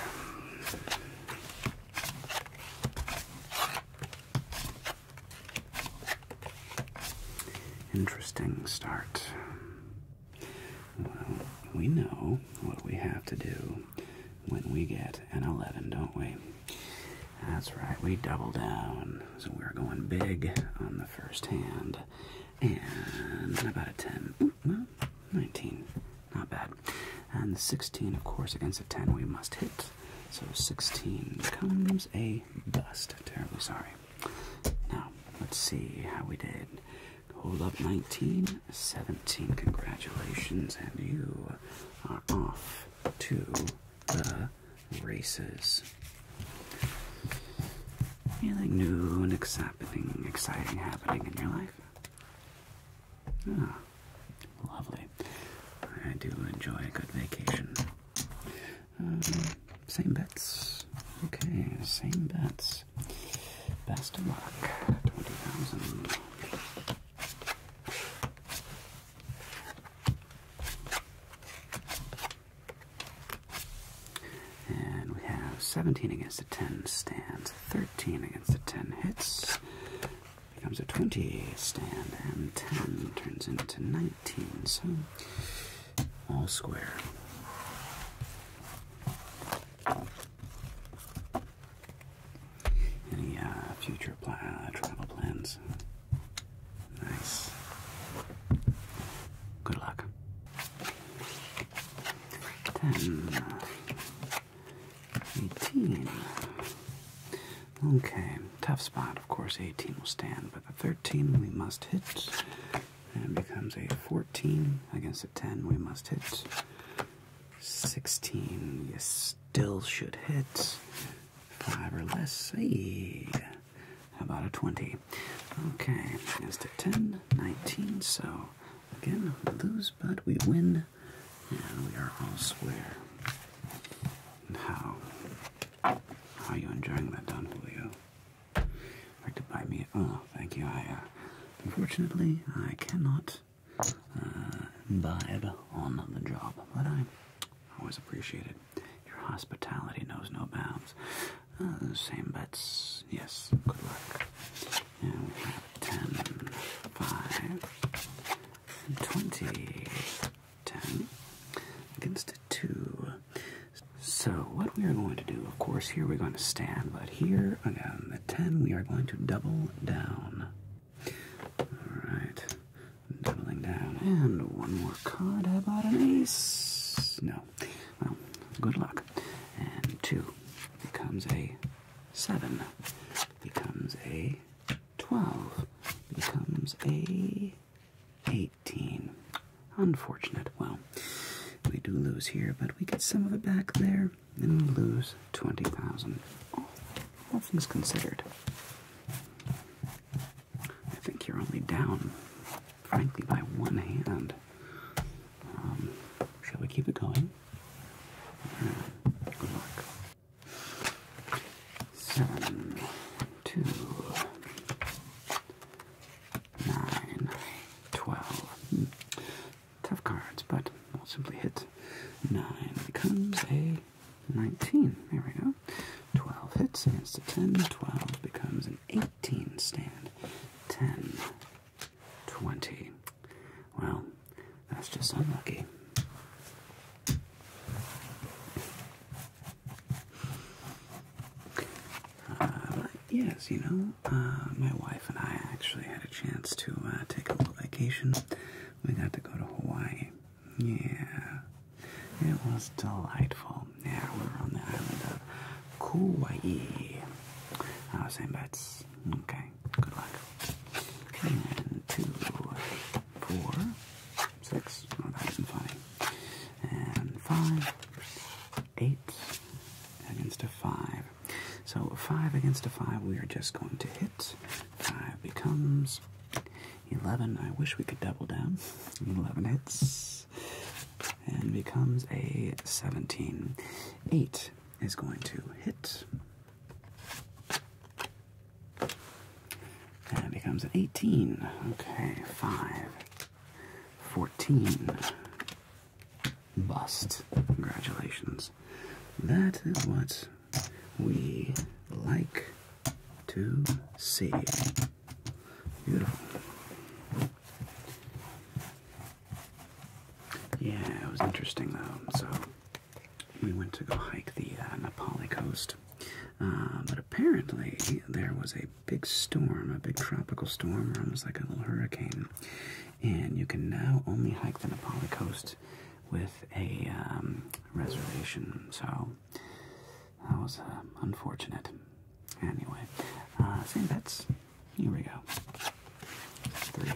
Interesting start. Well, we know what we have to do when we get an 11, don't we? That's right, we double down. So we're going big on the first hand. And about a 10. 19. Not bad. And 16, of course, against a 10 we must hit. So 16 becomes a bust. Terribly sorry. Now, let's see how we did Hold up 19, 17. Congratulations, and you are off to the races. Anything new and exciting, exciting happening in your life? Ah, lovely. I do enjoy a good vacation. Um, same bets. Okay, same bets. Best of luck. 20,000. And we have 17 against a 10 stands, 13 against a 10 hits, becomes a 20 stand, and 10 turns into 19, so all square. Any uh, future uh, travel plans? Nice. Good luck. Ten. Uh, eighteen. Okay, tough spot. Of course, eighteen will stand, but the thirteen we must hit. And becomes a 14 against a 10. We must hit. 16. You still should hit. 5 or less. See How about a 20? Okay. Against a 10. 19. So, again, we lose, but we win. And we are all square. How? How are you enjoying that, Don Julio? like to buy me? Oh, thank you. I, uh, unfortunately, I cannot uh, imbibe on the job, but I always appreciate it. Your hospitality knows no bounds. Uh, same bets. Yes, good luck. And we have 10, 5, and 10 against 2. So, what we are going to do, of course, here we're going to stand, but here again, at 10, we are going to double down. Alright, doubling down. And one more card. How about an ace? No. Well, good luck. And 2 becomes a 7, becomes a 12, becomes a 18. Unfortunate. Well, we do lose here, but we get some of it back there and lose 20,000. All, things considered, I think you're only down, frankly, by one hand. Um, shall we keep it going? Good luck. Seven, two, nine, twelve tough cards, but we'll simply hit 9. becomes a 19. There we go. 12 hits against a 10. 12 becomes an 18 stand. 10. 20. Well, that's just unlucky. Uh, yes, you know, uh, my wife and I actually had a chance to uh, take a little vacation. We got to go to Hawaii. Yeah, it was delightful. Yeah, we were on the island of Kauai. Uh, same bets. Okay, good luck. And two, four, six. Oh, that isn't funny. And five, eight against a five. So five against a five, we are just going to hit. Five becomes eleven. I wish we could double down. Eleven hits and becomes a seventeen. Eight is going to hit. And becomes an 18. Okay, 5. 14 bust. Congratulations. That is what we like to see. Beautiful. Yeah, it was interesting though. So we went to go hike the uh, Nepali coast. Uh, but apparently, there was a big storm, a big tropical storm, or almost like a little hurricane, and you can now only hike the Nepali coast with a um, reservation. So that was uh, unfortunate. Anyway, uh, same bets. Here we go. Three.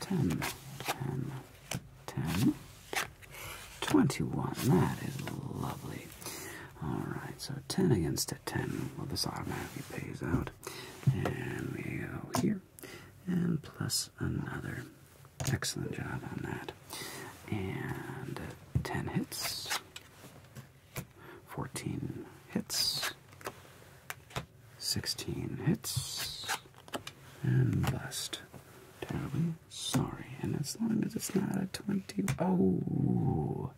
Ten. Ten. Ten. Twenty-one. That is lovely. All right. So ten against 10. Well, this automatically pays out. And we go here. And plus another. Excellent job on that. And 10 hits. 14 hits. 16 hits. And bust. Terribly sorry. And as long as it's not a 20. Oh!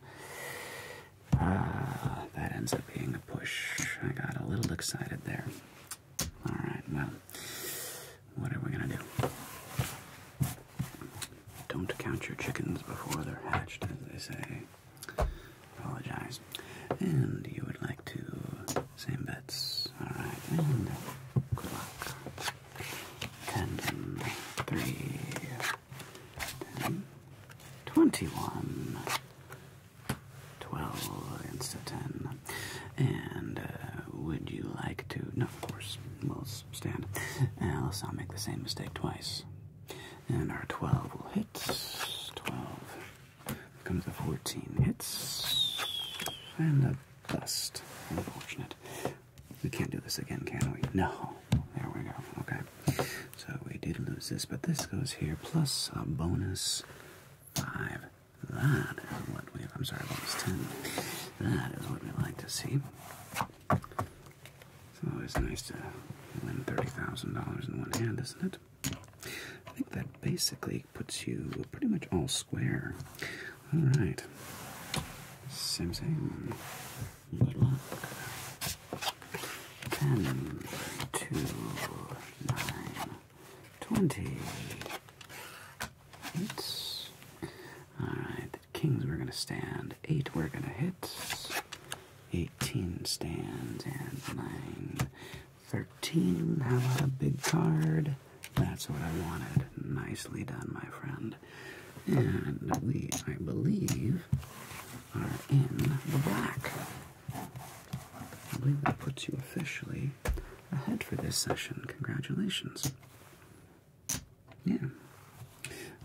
Ah, that ends up being a push. I got a little excited there. Alright, well, what are we gonna do? Don't count your chickens before they're hatched, as they say. Apologize. And you would like to same bets. Alright, and good luck. Tandem three 10, 21, 12 against a 10. And uh, would you like to? No, of course, we'll stand. Else I'll make the same mistake twice. And our 12 will hit. 12 comes a 14 hits. And a bust. Unfortunate. We can't do this again, can we? No. There we go. Okay. So we did lose this, but this goes here plus a bonus five. That is what we I'm sorry, bonus ten. That is what we like to see. It's always nice to win thirty thousand dollars in one hand, isn't it? I think that basically puts you pretty much all square. All right. Same thing. Ten, two, nine, twenty. Hits. Alright, kings we're gonna stand. Eight we're gonna hit. Eighteen stands and nine. Thirteen. How about a big card? That's what I wanted. Nicely done, my friend. And we, I believe, are in the black. I believe that puts you officially ahead for this session. Congratulations. Yeah.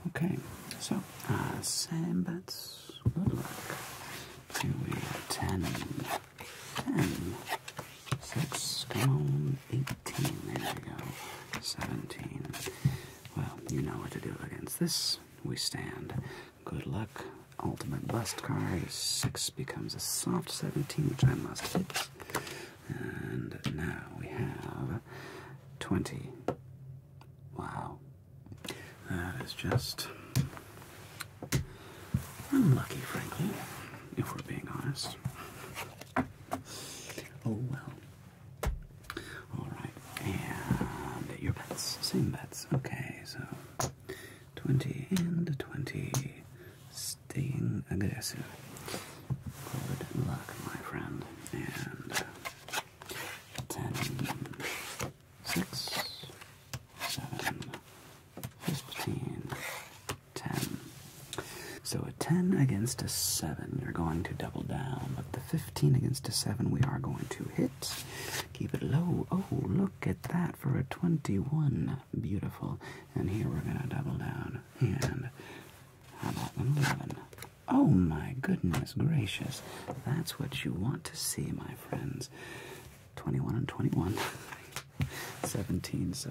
Okay, so uh, same bets. Good luck. Here we are 10, 10, 6, 18, there we go, 17. Well, you know what to do against this. We stand Good luck. Ultimate bust card. 6 becomes a soft 17, which I must hit. And now we have 20. Wow. That is just unlucky, frankly, if we're being honest. Oh well. All right, and your bets, same bets. Okay, so twenty and twenty, staying aggressive. Good luck, my friend. And uh, ten, six, seven, fifteen, ten. So a 10 against a 7, you're going to double down, but the 15 against a 7, we are going to hit. Keep it low. Oh, look at that for a 21. Beautiful. And here we're going to double down. And how about 11? Oh my goodness gracious. That's what you want to see, my friends. 21 and 21. 17, so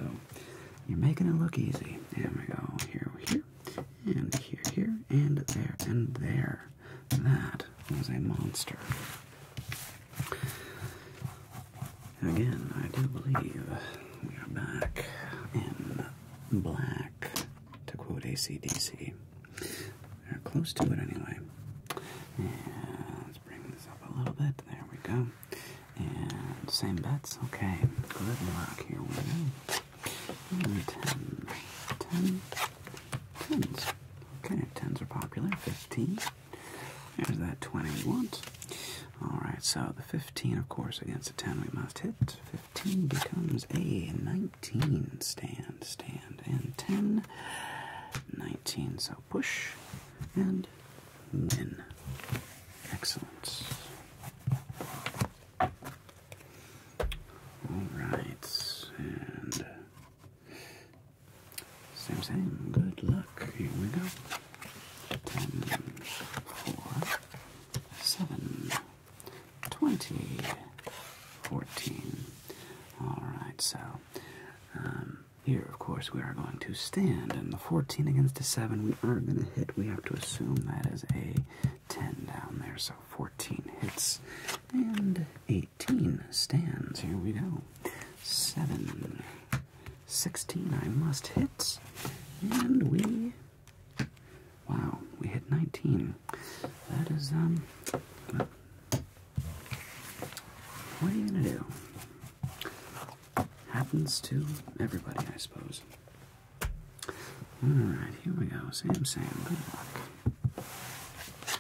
you're making it look easy. There we go. Here, here, and here, here, and there, and there. That was a monster. Again, I do believe we are back in black, to quote ACDC. they are close to it anyway. let's bring this up a little bit. There we go. And same bets. Okay, good luck. Here we go. Tens. Okay, tens are popular. Fifteen. There's that twenty we want. Alright, so the fifteen, of course, against the ten we must hit. Fifteen becomes a nineteen. Stand, stand, and ten. Nineteen, so push and win. Excellent. Alright, and same, thing. Good luck. Here we go. Ten, four, seven, twenty, fourteen. All right. So um, here, of course, we are going to stand, and the fourteen against the seven, we are going to hit. We have to assume that is a ten down there. So fourteen hits and eight. 18 stands. Here we go. 7. 16 I must hit. And we. Wow, we hit 19. That is, um. What are you gonna do? Happens to everybody, I suppose. Alright, here we go. Sam Sam, 8,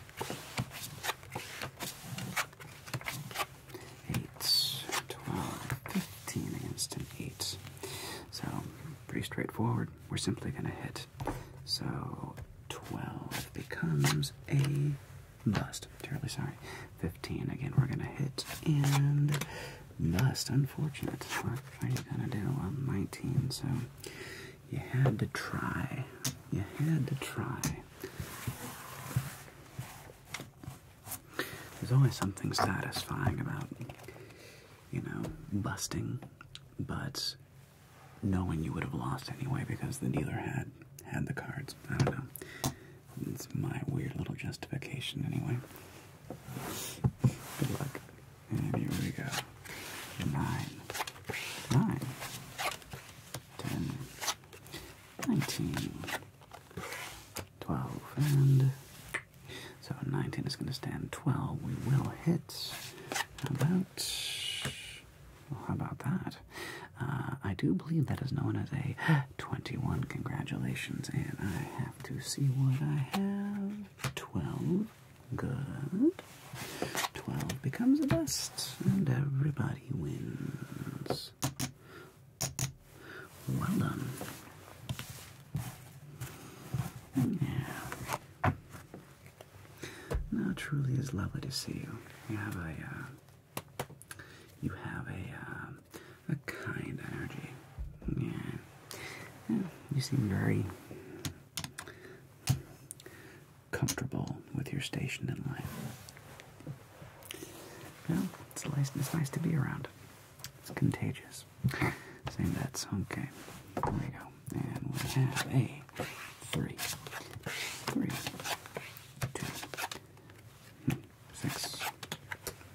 against an 8. So, pretty straightforward. We're simply going to hit. So, 12 becomes a bust. Terribly sorry. 15. Again, we're going to hit and bust. Unfortunate. What are you going to do? 19. So, you had to try. You had to try. There's always something satisfying about, you know, busting, but knowing you would have lost anyway because the dealer had had the cards. I don't know. It's my weird little justification anyway. Good luck. here we go nine, nine, ten, nineteen, twelve, and so 19 is going to stand 12. We will hit about. how about that? Uh, I do believe that is known as a 21. Congratulations, and I have to see what I have. 12. Good. Twelve becomes the best, and everybody wins. Well done. Yeah. Now truly is lovely to see you. You have a, uh, you have a, uh, a kind energy. yeah. You seem very comfortable with your station in life. Well, it's nice, it's nice to be around. It's contagious. Same bets. Okay. There we go. And we have a three, three, two, six,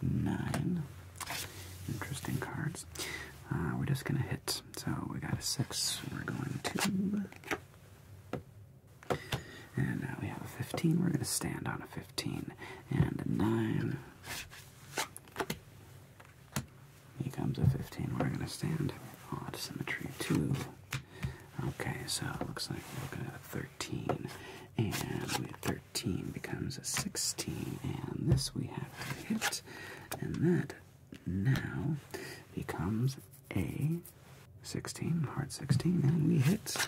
nine. Interesting cards. Uh, we're just going to hit so we got a six. We're going to. And now we have a 15. We're going to stand on a 15. And a 9. Becomes a 15. We're going to stand. Odd oh, symmetry 2. Okay, so it looks like we're looking at a 13. And 13 becomes a 16. And this we have to hit. And that now becomes a 16, heart 16, and we hit,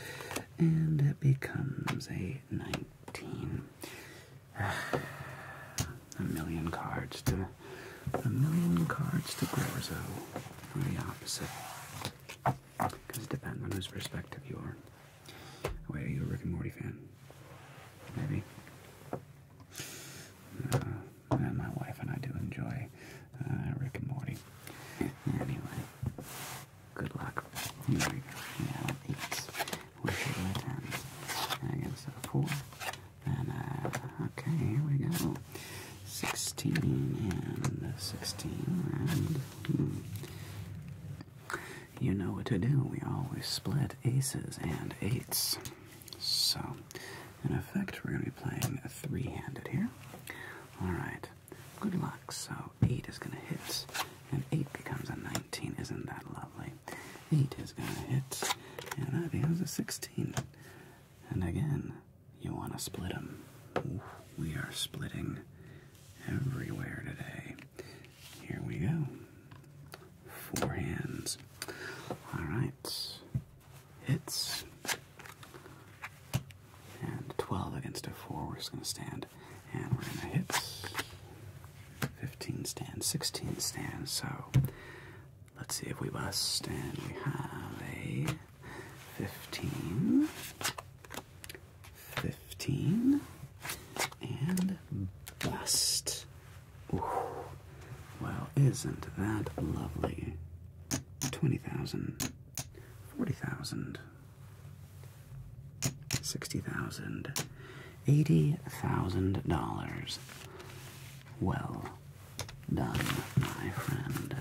and it becomes a 19. a million cards to a million cards to Gorzo for the opposite. Because it depends on whose perspective you are. Wait, are you a Rick and Morty fan? Maybe. Uh, and my wife and I do enjoy uh, Rick and Morty. Anyway, good luck. Here we go. it's we should let him. I guess a four. And uh, okay, here we go. Sixteen and sixteen. Hmm. you know what to do. We always split aces and eights. So, in effect, we're going to be playing a three handed here. Alright, good luck. So, 8 is going to hit, and 8 becomes a 19. Isn't that lovely? 8 is going to hit, and that becomes a 16. And again, you want to split them. we are splitting everywhere today. Here we go. Four hands. Alright hits. And 12 against a 4, we're just going to stand. And we're going to hit. 15 stands, 16 stands. So let's see if we bust. And we have a 15, 15, and bust. Well, isn't that lovely? 20,000, 40,000, 60,000, $80,000. Well done, my friend.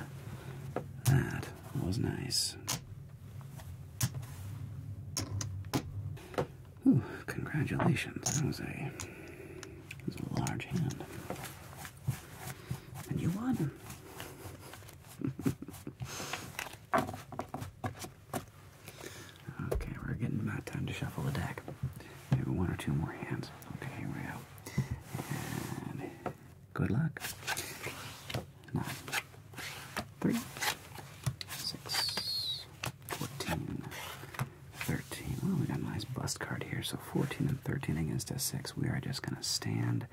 That was nice. congratulations. That was was a large hand. And you won. okay, we're getting about time to shuffle the deck. Maybe one or two more hands. Okay, here we go. good luck. Nine, three, six, fourteen, 13. Well, we got a nice bust card here. So 14 and 13 against a 6. We are just going to stand.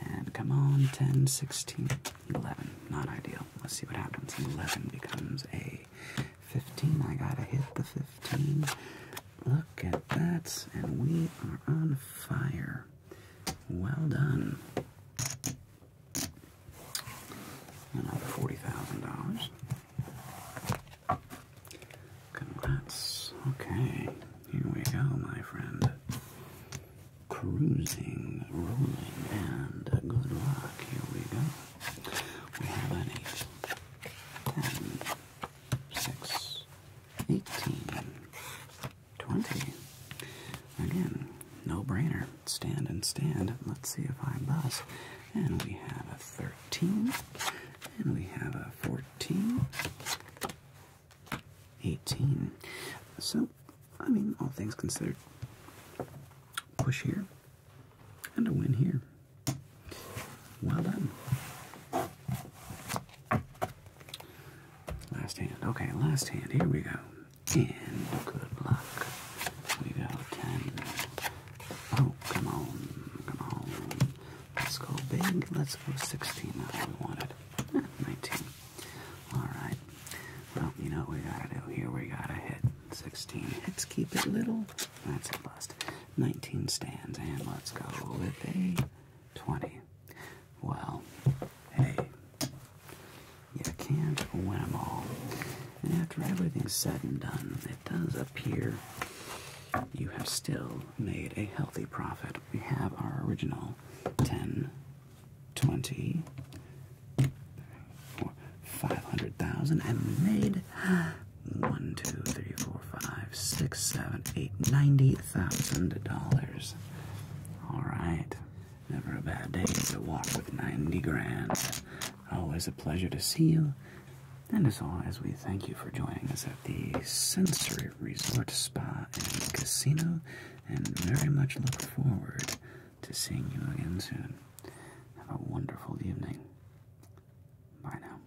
And come on, 10, 16, 11. Not ideal. Let's see what happens. 11 becomes a 15. I got to hit the 15. Look at that. And we are on fire. Well done. Another $40,000. Congrats. Okay, here we go, my friend. Cruising, rolling, and good luck. Here we go. We have an 8, Again, no brainer. Stand and stand. Let's see if I am bust and we have a 13, and we have a 14, 18. So, I mean, all things considered, push here and a win here. Well done. Last hand. Okay, last hand. Here we go. And good luck. We go 10. Oh, come on. Come on. Let's go big. Let's go 16. That's what we wanted. 19. Alright. Well, you know what we gotta do here? We gotta hit 16. Let's keep it little. That's a bust. 19 stands. And let's go with a 20. Well, hey. You can't win them all. And after everything's said and done, it does appear you have still made a healthy profit. We have our original 10, 20, 500,000, and made 1, 2, 3, 4, 5, 6, 7, 8, $90,000. All right. Never a bad day to walk with 90 grand. Always a pleasure to see you. And as always, we thank you for joining us at the Sensory Resort Spa and Casino, and very much look forward to seeing you again soon. Have a wonderful evening. Bye now.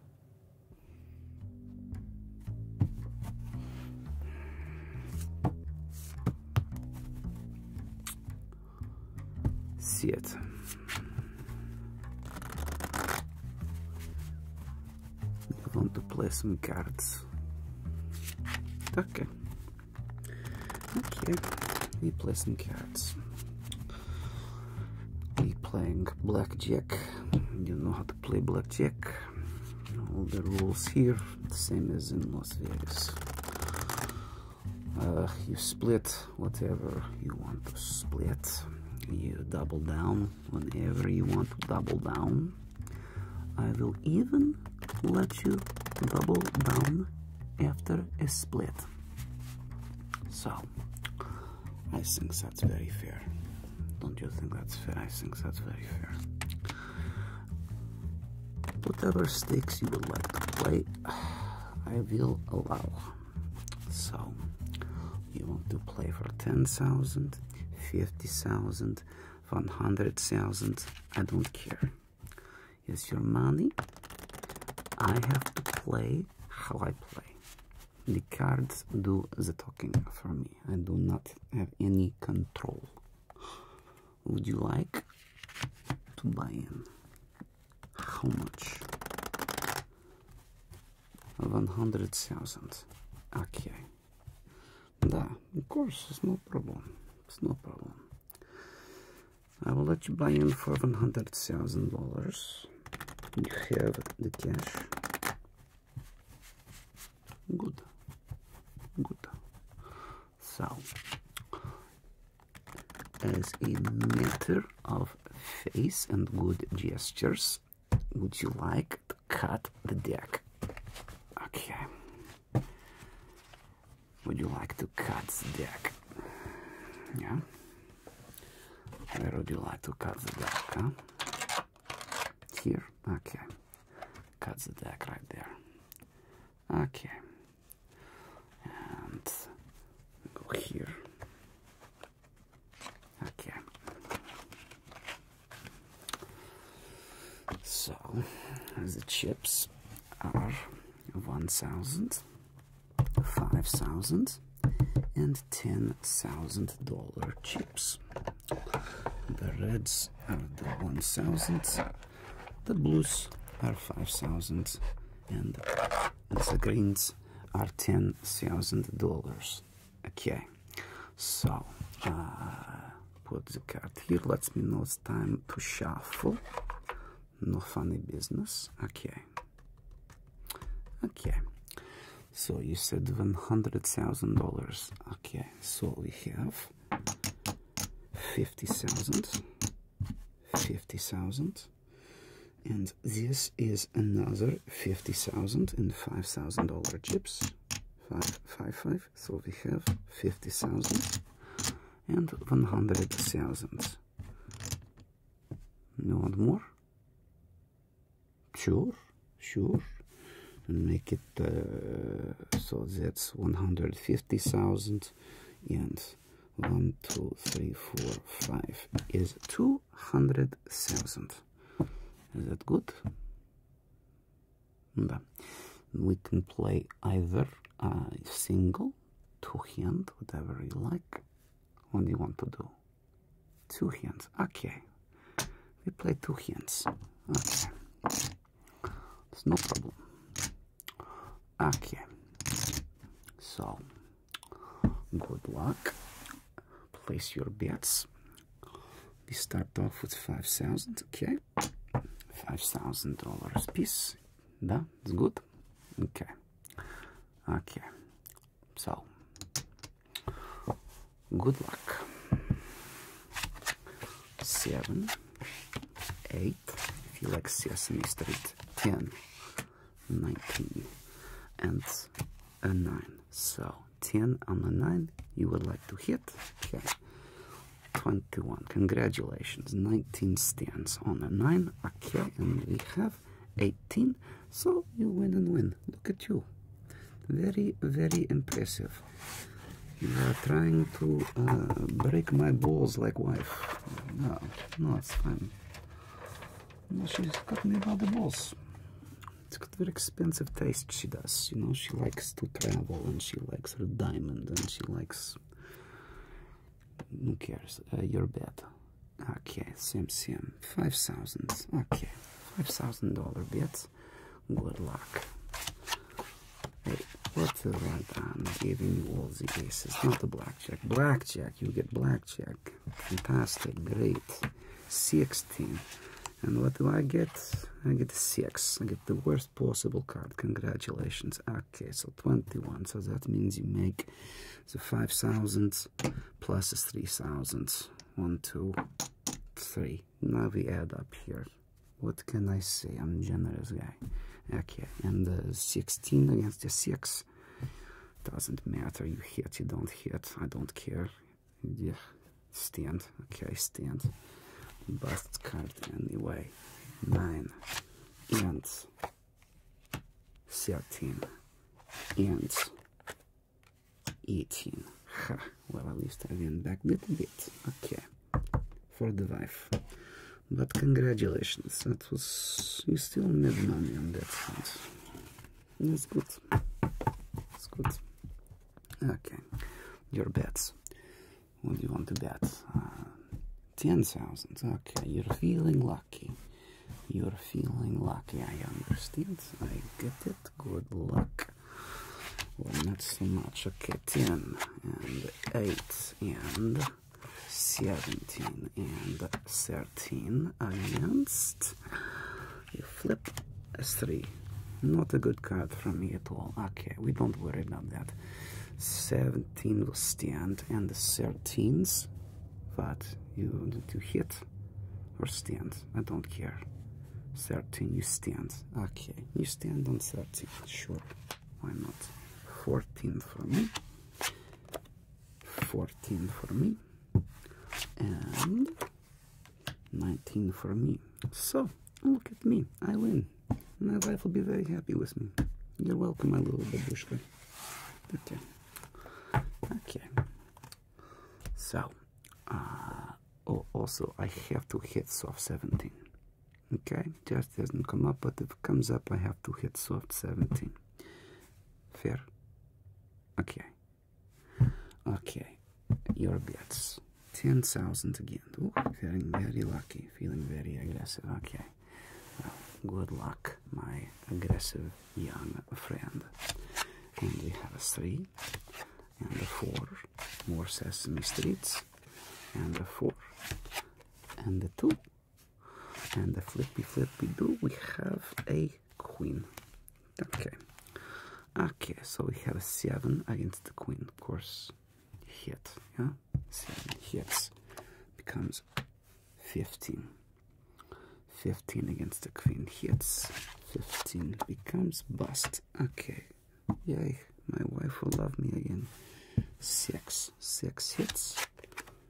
See it. I want to play some cards. Okay. Okay, we play some cards. We playing blackjack. You know how to play blackjack. All the rules here, same as in Las Vegas. Uh, you split whatever you want to split. You double down whenever you want to double down. I will even let you double down after a split. So, I think that's very fair. Don't you think that's fair? I think that's very fair. Whatever stakes you would like to play, I will allow. So you want to play for 10,000, 50,000, 100,000, I don't care. It's your money. I have to play how I play. The cards do the talking for me. I do not have any control. Would you like to buy in? How much? 100,000. Okay. Да, of course, it's no problem. It's no problem. I will let you buy in for $100,000. You have the cash. Good. Good. So, as a matter of face and good gestures, would you like to cut the deck? Okay. Would you like to cut the deck? Yeah. Where would you like to cut the deck? Here. Okay. Cut the deck right there. Okay. And go here. Okay. So the chips are 1000 5000 and 10000 dollar chips. The reds are the 1000 the blues are 5000 and the greens are $10,000. Okay, so uh, put the card here. Let us me know it's time to shuffle. No funny business. Okay. Okay. So you said one hundred thousand dollars. Okay. So we have fifty thousand. Fifty thousand and this is another 50,000 and 5,000 dollar chips 555 so we have 50,000 and 100,000 you want more sure sure make it uh, so that's 150,000 and one two three four five is two Hundred thousand. Is that good? Да. We can play either a single, two hands, whatever you like. What do you want to do? Two hands. Okay. We play two hands. Okay. It's no problem. Okay. So Good luck. Place your bets. We start off with 5,000, okay? $5,000 piece. Да, it's good. Okay. Okay. So, good luck. Seven, eight, if you like Sesame Street, ten. 19 and a 9 so 10 on a 9 you would like to hit okay 21 congratulations 19 stands on a 9 okay and we have 18 so you win and win look at you very very impressive you are trying to uh, break my balls like wife no no it's fine no, she's me by the balls it's got very expensive taste she does you know she likes to travel and she likes her diamond and she likes who cares uh, your bet, okay sim sim five thousand okay five thousand dollar bet. good luck hey what's the right i'm giving you all the cases? not the blackjack blackjack you get blackjack Fantastic, great. 16. And what do I get? I get 6. I get the worst possible card. Congratulations. Okay, so 21. So that means you make the 5,000 plus 3,000. 1, 2, 3. Now we add up here. What can I say? I'm generous guy. Okay, and 16 against the 6. Doesn't matter. You hit, you don't hit. I don't care yeah, stand. Okay, stand. Bust card anyway. Nine and thirteen and eighteen. Well, at least I went back a little bit. Okay, for the wife. But congratulations, that was you still made money on that front. That's good. That's good. Okay. Your bets. What do you want to bet? Uh, 10,000. Okay. You're feeling lucky. You're feeling lucky. I understand. I get it. Good luck. Well, not so much. Okay. 10 and 8 and 17 and 13. 13 against. You flip S3. Not a good card from me at all. Okay, we don't worry about that. 17 will stand and the 13s, but you need to hit or stand. I don't care. 13, you stand. Okay, you stand on 13. Sure, why not? 14 for me. 14 for me. And 19 for me. So, look at me. I win. My wife will be very happy with me. You're welcome, my little babushka. Okay. Okay. So, oh, also, I have to hit soft 17. Okay? Just doesn't come up, but if it comes up, I have to hit soft 17. Fair? Okay. Okay, your bets. 10,000 again. Ooh, feeling very lucky, feeling very aggressive. Okay, well, good luck, my aggressive young friend. And we have a 3 and a 4, more Sesame Streets, and a 4 and a 2. And the flippy flippy do, we have a queen. Okay. Okay, so we have a 7 against the queen, of course. Hit, yeah? 7 hits becomes 15. 15 against the queen hits. 15 becomes bust. Okay. Yay, my wife will love me again. 6. 6 hits.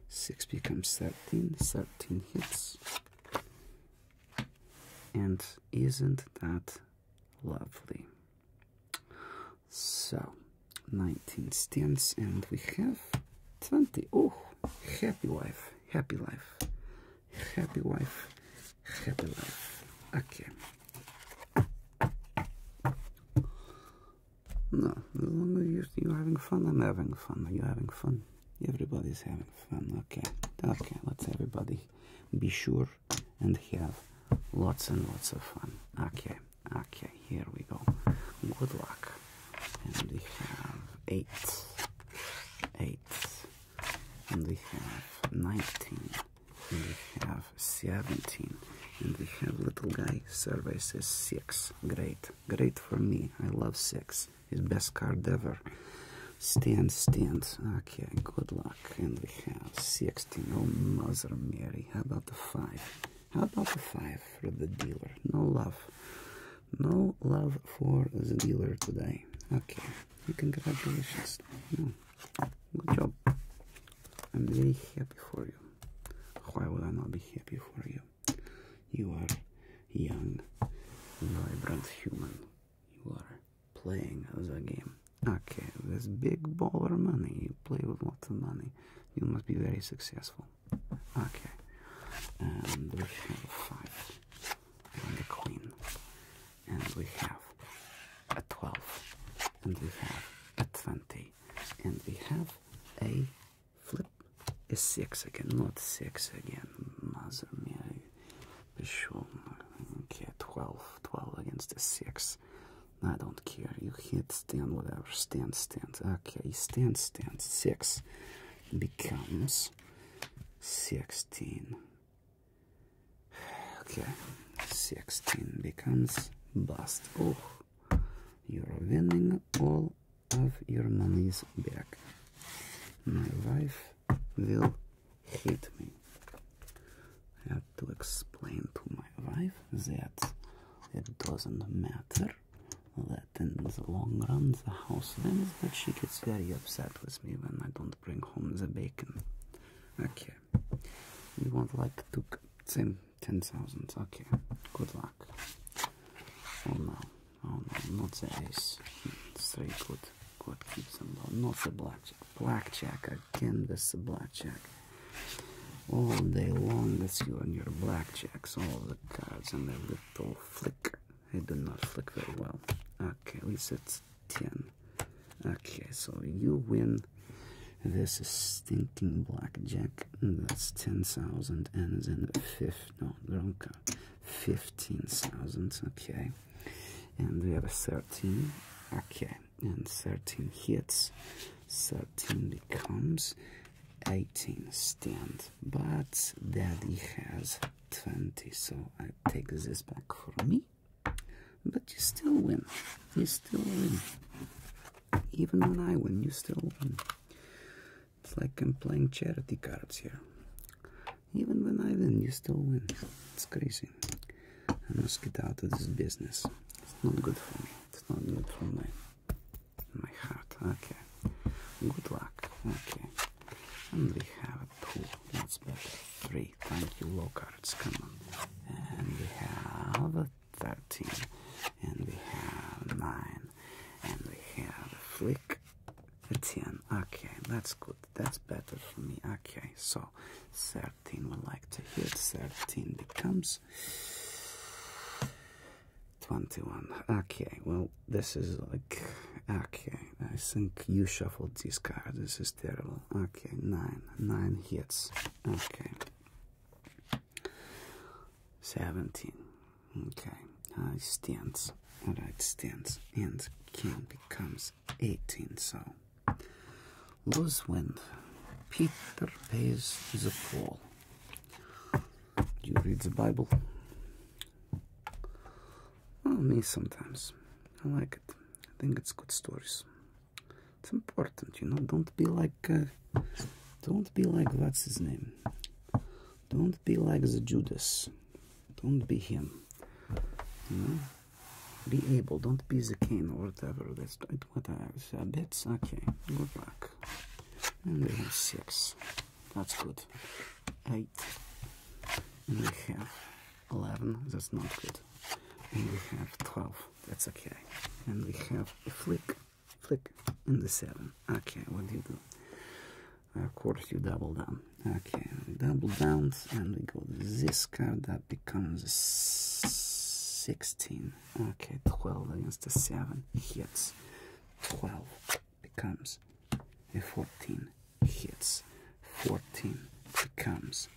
6 becomes 13. 13 hits. And isn't that lovely? So, 19 stands, and we have 20. Oh, happy life, happy life, happy life, happy life. Okay. No, as long as you're having fun, I'm having fun. Are you having fun? everybody's having fun okay okay let's everybody be sure and have lots and lots of fun okay okay here we go good luck and we have eight eight and we have 19 and we have 17 and we have little guy survey says six great great for me i love six his best card ever. Stand, stand. Okay, good luck. And we have 16. Oh, Mother Mary. How about the 5? How about the 5 for the dealer? No love. No love for the dealer today. Okay, congratulations. Hmm. Good job. I'm very happy for you. Why would I not be happy for you? You are young, vibrant human you are playing the game. Okay, this big of money. You play with lots of money. You must be very successful. Okay, and we have five and a queen, and we have a twelve, and we have a twenty, and we have a flip. A six again, not six again. Mother mia, Bishop, okay, 12, 12 against the 6. I don't care. You hit stand, whatever. Stand, stand. Okay, stand, stand. 6 becomes 16. Okay, 16 becomes bust. Oh, you're winning all of your money's back. My wife will hit me. I have to explain to my wife that it doesn't matter, that in the long run the house wins, but she gets very upset with me when I don't bring home the bacon. Okay, you want like to same 10,000, okay, good luck. Oh no, Oh no, not the ace. Straight good. God keeps them low. Not the blackjack. Blackjack. again. can this blackjack. All day long, that's you and your blackjacks. All the cards and the little flick. They do not flick very well. Okay, at least it's 10. Okay, so you win. This is stinking blackjack. That's 10,000 and then 5. No, wrong card. 15,000, okay, and we have 13, okay, and 13 hits, 13 becomes 18 stand, but daddy has 20, so I take this back for me, but you still win, you still win, even when I win, you still win. It's like I'm playing charity cards here. Even when I win, you still win. It's crazy. I must get out of this business. It's not good for me. It's not good for my my heart. Okay. Good luck. Okay. And we have a two. That's better. Three. Thank you, low cards. Come on. And we have a thirteen. And we have nine. And we have a flick. 13 okay that's good that's better for me okay so 13 we like to hit 13 becomes 21 okay well this is like okay i think you shuffled these cards. this is terrible okay 9 9 hits okay 17 okay i stands Alright, stands and king becomes 18, so. Lose wind. Peter pays He's a fool. Do you read the Bible? Well, me sometimes. I like it. I think it's good stories. It's important, you know. Don't be like, uh, don't be like what's his name. Don't be like the Judas. Don't be him. Be able. Don't be the king or whatever. That's what I said. Bits. Okay. Good luck. And we have six. That's good. Eight. And we have eleven. That's not good. And we have twelve. That's okay. And we have a flick, flick, in the seven. Okay. What do you do? Of course, you double down. Okay, double downs, and we go this card that becomes 16. Okay, 12 against the 7 hits. 12 becomes a 14 hits. 14 becomes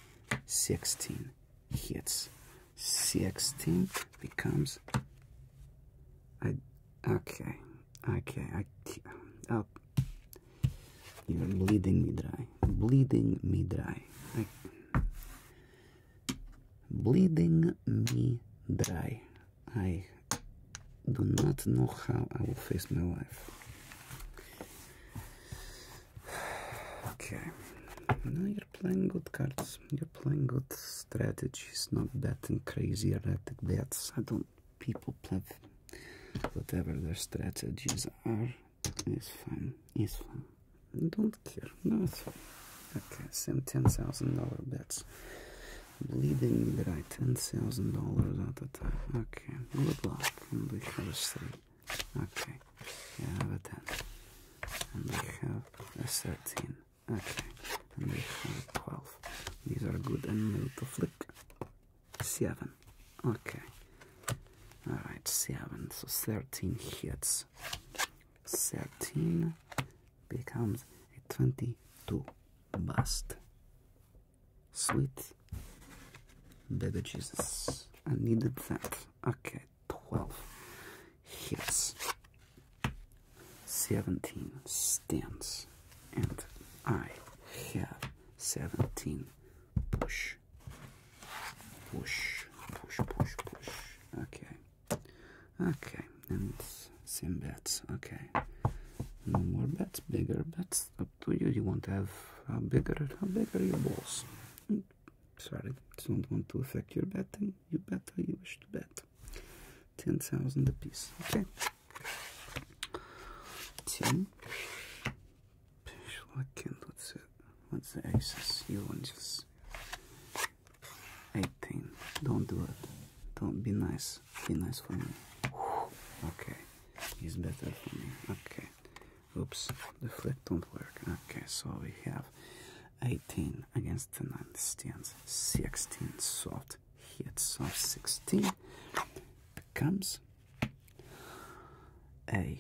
16 hits. 16 becomes. I, okay, Okay, I. Oh. You're bleeding me dry. Bleeding me dry. bleeding me dry. I do not know how I will face my life. Okay. now you're playing good cards. You're playing good strategies, not betting crazy erratic bets. I don't people play whatever their strategies are. It's fine. It's fine. I don't care. No, it's fine. Okay, same ten thousand dollar bets. Bleeding right, ten thousand dollars at the time. Okay, good luck. And we have a three. Okay, we have a ten, and we have a thirteen. Okay, and we have a twelve. These are good and new to flick seven. Okay. All right, seven. So thirteen hits. Thirteen becomes a twenty-two bust. Sweet baby Jesus. I needed that. Okay, twelve hits. Seventeen stands and I have 17 push, push, push, push, push. Okay, okay, and same bets. Okay, no more bets, bigger bets. Up to you. You want to have how bigger, how bigger your balls. Mm. Sorry, don't want to affect your betting. You bet how you wish to bet. 10,000 apiece. Okay tin. Pishlikin, what's it? What's the excess? You want just 18. Don't do it. Don't be nice. Be nice for me. Okay, it's better for me. Okay. Oops, the flip don't work. Okay, so we have 18 against the 9 stands. 16 soft hit, soft 16 becomes a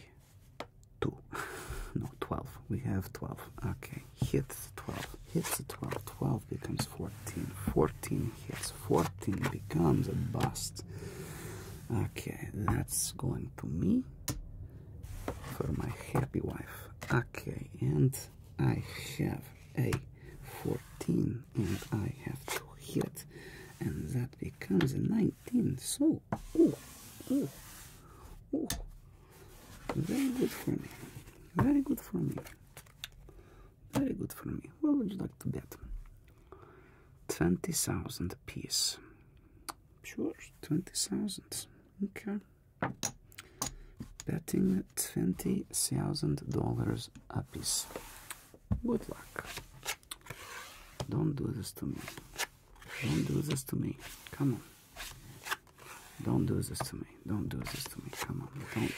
two, no twelve. We have twelve. Okay, hits twelve. Hits twelve. Twelve becomes fourteen. Fourteen hits. Fourteen becomes a bust. Okay, that's going to me for my happy wife. Okay, and I have a 14 and I have to hit and that becomes a 19 so oh, oh, oh. very good for me very good for me very good for me what would you like to bet 20,000 piece sure 20,000 okay betting $20,000 a piece good luck don't do this to me. Don't do this to me. Come on. Don't do this to me. Don't do this to me. Come on. Don't.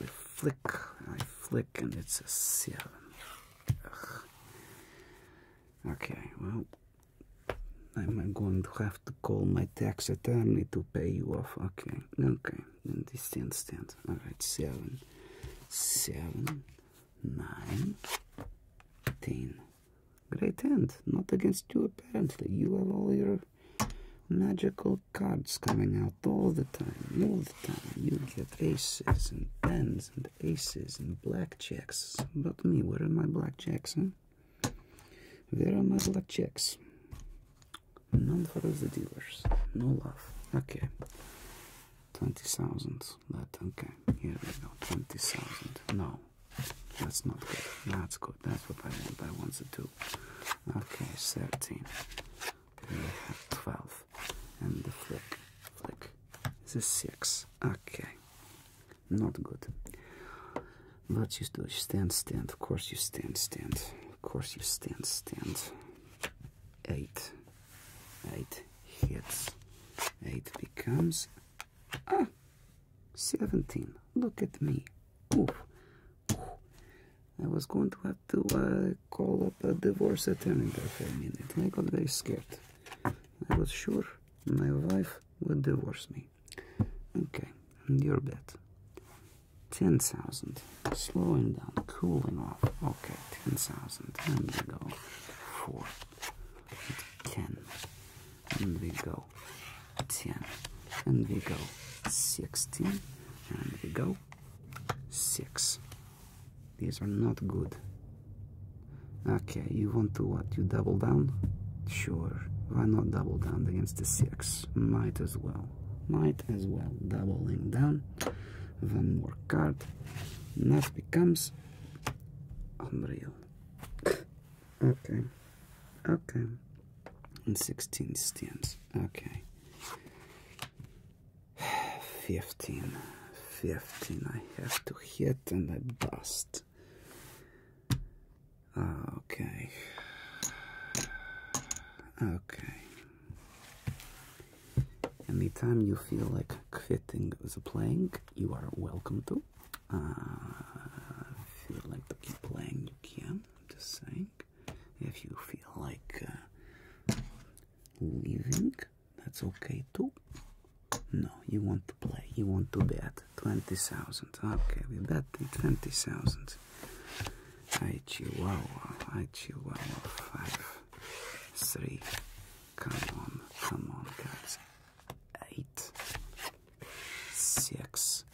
We flick and I flick and it's a seven. Okay, well, I'm going to have to call my tax attorney to pay you off. Okay, okay then this 10 stand. Alright, 7, 7, 9, 10. Great hand, not against you apparently. You have all your magical cards coming out all the time, all the time. You get aces and tens and aces and blackjacks. But me, where are my blackjacks, huh? Where are my blackjacks? none for the dealers, no love. Okay, 20,000. That okay, here we go. 20,000. No, that's not good. That's good. That's what I want. I want to do. Okay, 13. We have 12. And the flick, flick. This is 6. Okay, not good. But you do stand, stand. Of course, you stand, stand. Of course you stand, stand. Eight. Eight hits. Eight becomes ah, 17. Look at me. Oof. I was going to have to uh, call up a divorce attorney there for a minute. I got very scared. I was sure my wife would divorce me. Okay, and you're bad. 10,000. Slowing down, cooling off. Okay, 10,000. And we go 4, 10. And we go 10. And we go 16. And we go 6. These are not good. Okay, you want to what? You double down? Sure. Why not double down against the 6? Might as well. Might as well doubling down one more card that becomes unreal okay okay and 16 stems okay 15 15 i have to hit and i bust okay okay Anytime you feel like quitting the playing, you are welcome to. Uh, if you like to keep playing, you can. I'm just saying. If you feel like uh, leaving, that's okay too. No, you want to play. You want to bet 20,000. Okay, we bet 20,000. I Chihuahua, I Chihuahua, five, three, come on, come on, guys, eight, six,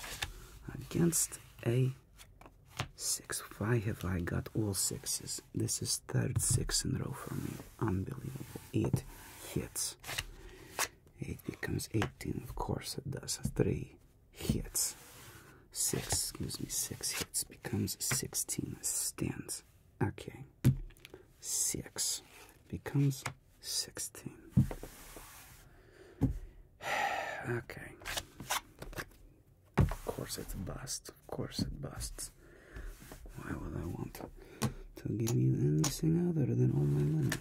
against a six. Why have I got all sixes? This is third six in a row for me, unbelievable. It hits. It becomes eighteen, of course it does. Three, hits. Six gives me six hits, becomes 16. This stands. Okay. Six becomes 16. okay. Of course it busts. Of course it busts. Why would I want to give you anything other than all my money?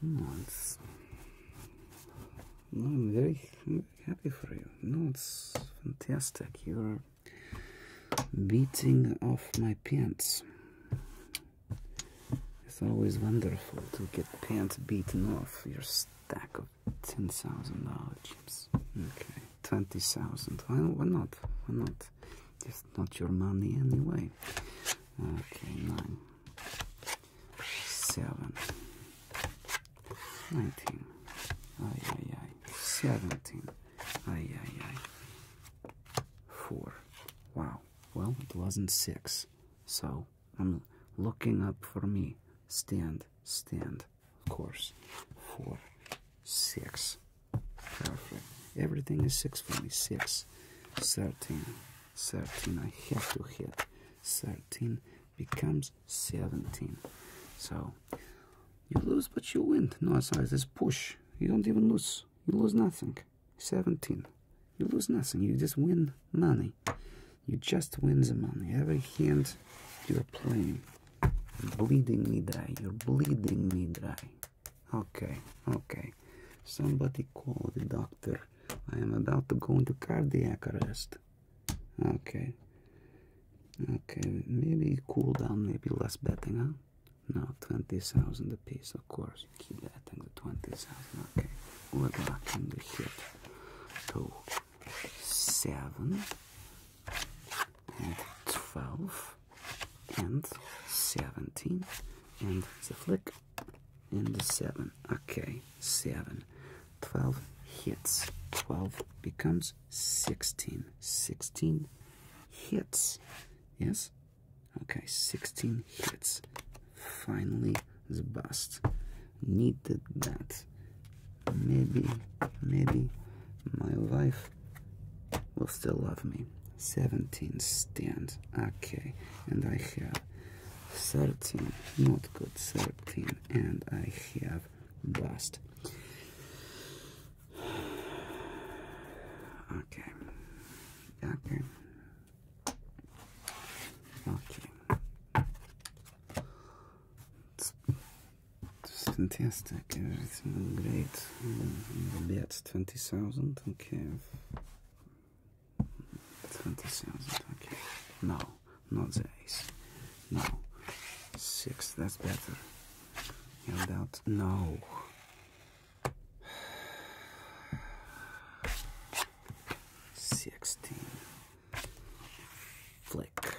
No, I'm very, happy for you. No, it's fantastic. You're beating off my pants. It's always wonderful to get pants beaten off your stack of ten thousand dollar chips. Okay, twenty thousand. Why, why not? Why not? It's not your money anyway. Okay, nine seven, nineteen, ay ay ay, seventeen, ay ay ay, four. Wow. Well, it wasn't six, so I'm looking up for me. Stand, stand. Of course, four, six. Perfect. Everything is six for me. Six, thirteen, thirteen. I have to hit 13 becomes 17. So you lose, but you win. No, It's this push. You don't even lose. You lose nothing. 17. You lose nothing. You just win money. You just win the money. Every hand you're playing. bleeding me dry. You're bleeding me dry. Okay, okay. Somebody call the doctor. I am about to go into cardiac arrest. Okay. Okay, maybe cool down, maybe less betting, huh? No, 20,000 piece. of course. you Keep that. betting the 20,000. Okay, we're blocking the hit to 7 and 12 and 17 and the flick and the 7. Okay, 7. 12 hits. 12 becomes 16. 16 hits. Yes? Okay, 16 hits. Finally, the bust. Needed that. Maybe, maybe my wife will still love me. 17 stands, Okay, and I have 13 not good 13 and i have bust okay okay okay fantastic everything great mm, the bets 20000 okay 20,000, okay. No, not the ace. No. Six, that's better. Held out. No. Sixteen. Flick.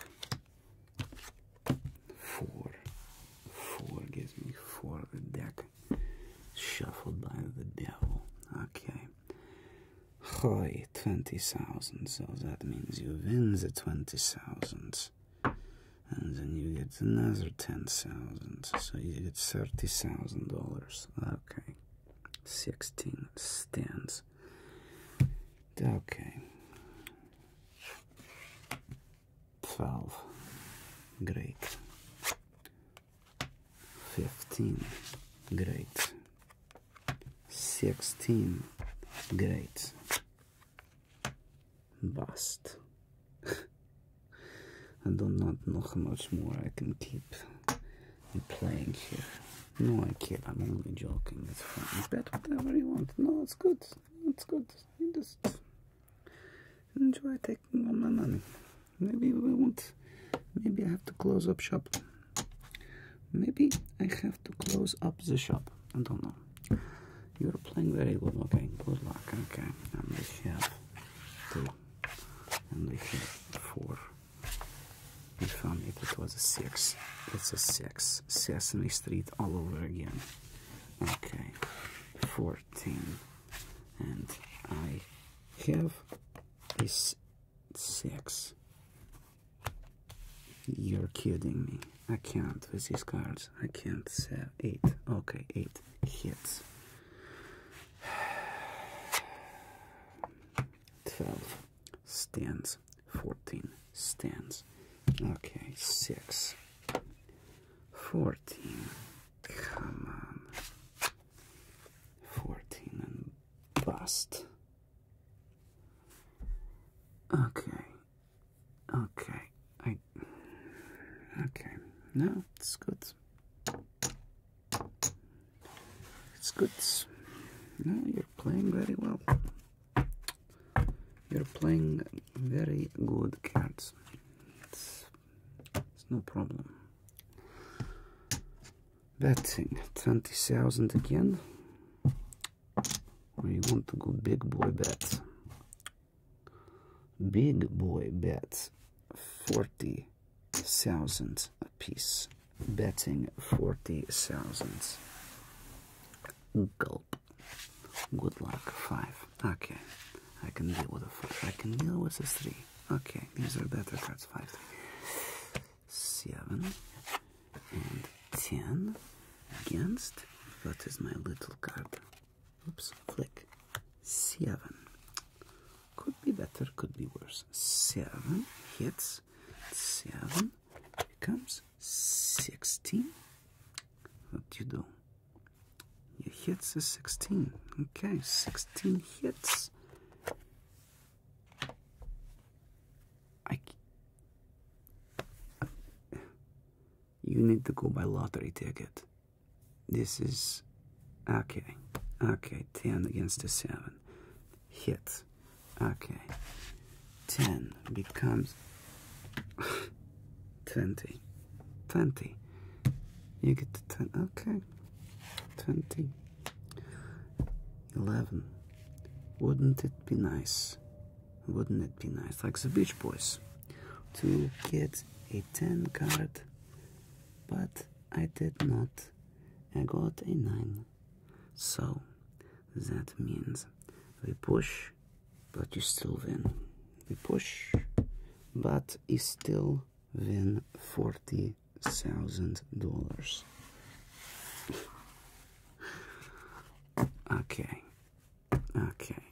Four. Four gives me four the deck. Shuffled by the devil. Okay. Hoy, 20,000. So that means you win the 20,000. And then you get another 10,000. So you get $30,000. Okay. 16 stands. Okay. 12. Great. 15 great 16 great bust I do not know how much more I can keep playing here no I kid I'm only joking it's fun bet whatever you want no it's good it's good you just enjoy taking all my money maybe we won't maybe I have to close up shop. Maybe I have to close up the shop. I don't know. You're playing very good. Okay, good luck. Okay, and this is two, and we have four. If I made it was a six. It's a six. Sesame Street all over again. Okay, fourteen, and I have this six. You're kidding me. I can't with these cards. I can't sell eight. Okay, eight hits. Twelve stands. Fourteen stands. Okay, six. Fourteen. Come on. Fourteen and bust. Okay. Okay. I Okay. No, it's good. It's good. No, you're playing very well. You're playing very good cards. It's, it's no problem betting 20,000 again we want to go big boy bet big boy bet 40,000 a piece betting 40,000 gulp good luck five okay I can deal with a five I can deal with a three okay these are better cards five three seven and ten against what is my little card? Oops, click. Seven. Could be better, could be worse. Seven hits. Seven becomes sixteen. What do you do? You hits is sixteen. Okay, sixteen hits. I. You need to go buy lottery ticket. This is okay. Okay, ten against the seven. Hit. Okay. Ten becomes twenty. Twenty. You get to ten okay. Twenty. 11. Wouldn't it be nice? Wouldn't it be nice, like the Beach Boys, to get a 10 card? But I did not. I got a 9. So that means we push, but you still win. We push, but you still win 40 Thousand dollars. Okay, okay.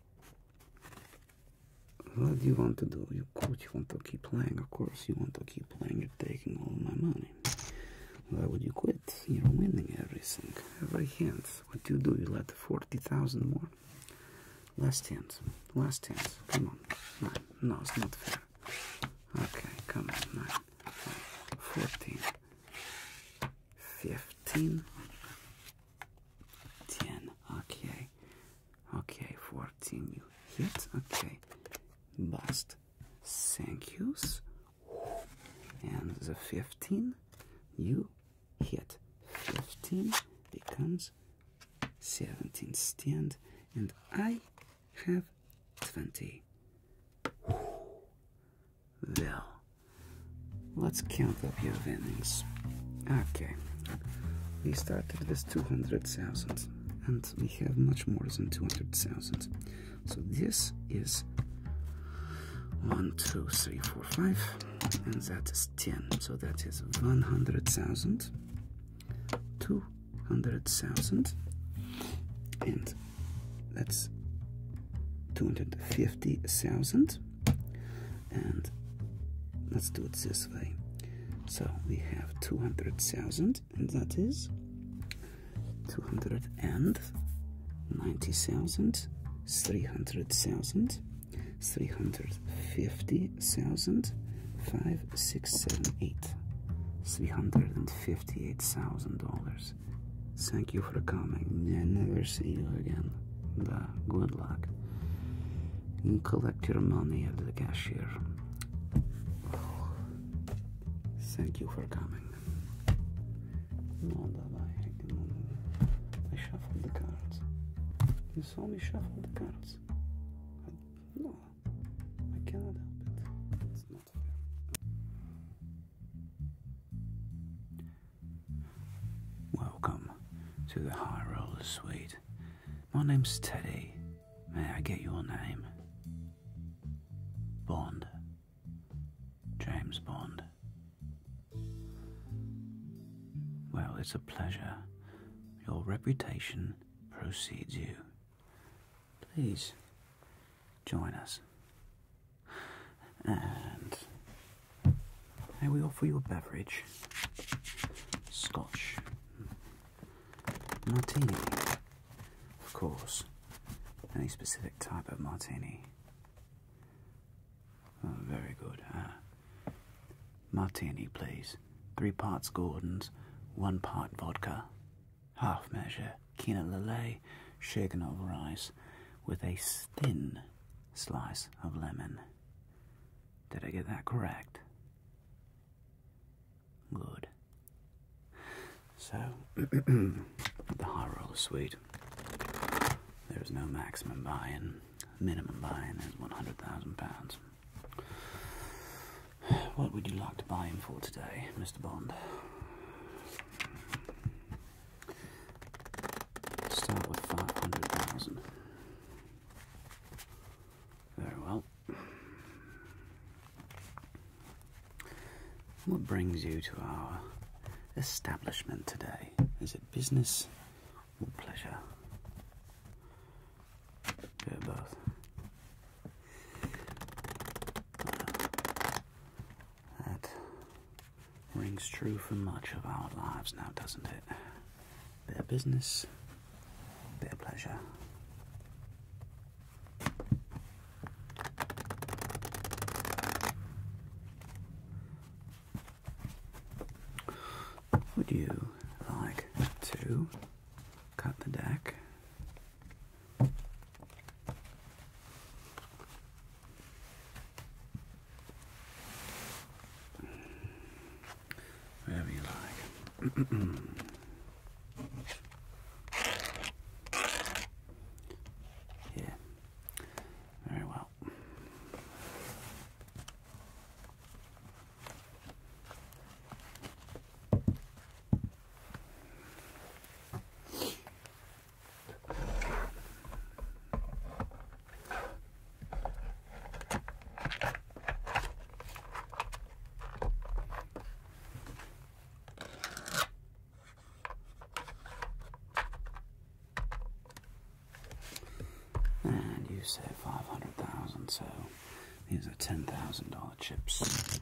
What do you want to do? You, of you want to keep playing. Of course, you want to keep playing. You're taking all my money. Why would you quit? You're winning everything, every hand. What do you do? You let forty thousand more. Last hand, last hand. Come on, no, no, it's not fair. Okay, come on, 9, 14, 15, 10, okay, okay, 14, you hit, okay, bust, thank yous, and the 15, you hit, 15 becomes 17 stand, and I have 20. Well, let's count up your winnings. Okay, we started with 200,000 and we have much more than 200,000. So this is 1, 2, 3, 4, 5, and that is 10. So that is 100,000, 2, hundred thousand, and that's two hundred fifty thousand, and let's do it this way. So we have two hundred thousand, and that is two hundred and hundred fifty thousand, five, six, seven, eight, three hundred and fifty. $58,000. Thank you for coming. I never see you again. good luck. collect your money at the cashier. Thank you for coming. No, I shuffled the cards. You saw me shuffle the cards. no, I cannot help it. Welcome to the High Roller Suite. My name's Teddy. May I get your name? Bond. James Bond. Well, it's a pleasure. Your reputation precedes you. Please join us. And I we offer you a beverage Scotch martini, of course, any specific type of martini. Oh, very good. Uh, martini, please. Three parts Gordon's, one part vodka half measure quinoa lillet shaken rice with a thin slice of lemon. Did I get that correct? Good. So, the high roller suite. There is no maximum buying. Minimum buying in is one hundred thousand pounds. What would you like to buy him for today, Mr. Bond? Start with 500,000. Very well. What brings you to our establishment today? Is it business or pleasure? both. That rings true for much of our lives now, doesn't it? Bit of business, bit of pleasure. Would you like to cut the deck Wherever you like. Yeah, very well. And you said 500,000, so these are $10,000 chips.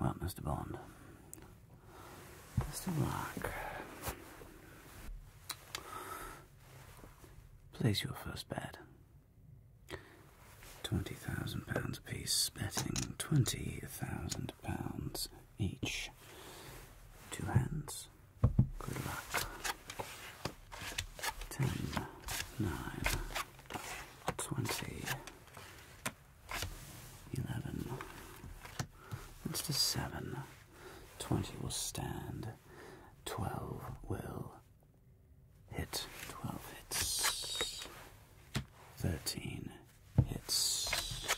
Well, Mr. Bond. Mr. Black. Place your first bet. Twenty thousand pounds apiece, betting twenty thousand pounds each. Two hands. Good luck. Ten, nine, twenty, 11. That's a 7. 20 will stand. 12 will hit. 12 hits. 13 hits.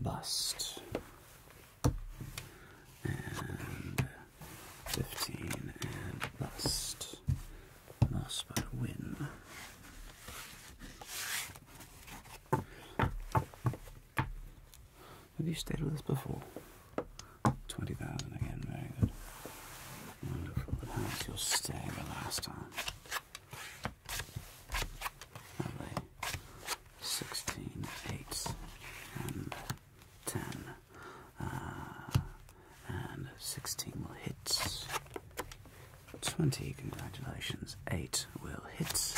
Bust. And 15 and bust lost by a win. Have you stayed with us before? 20,000 again, very good. Wonderful. And your stay the last time? Lovely. 16, and 10. Ah, and 16 will hit. 20, congratulations. 8 will hit.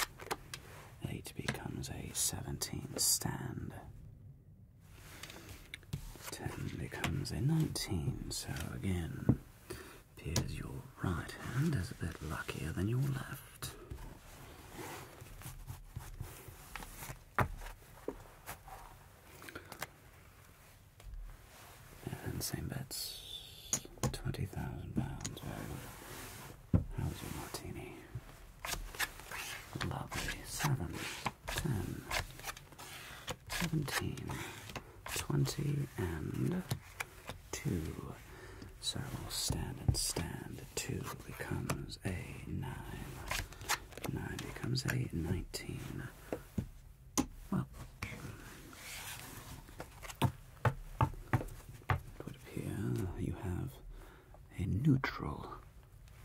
8 becomes a 17 stand. 10 becomes a 19, so again, appears your right hand is a bit luckier than your left. And same bets. Twenty thousand pounds. How's your martini? Lovely. Seven, ten, seventeen, twenty, and two. So I will stand and stand. Two becomes a nine. Nine becomes a nineteen. Well, it would appear you have a neutral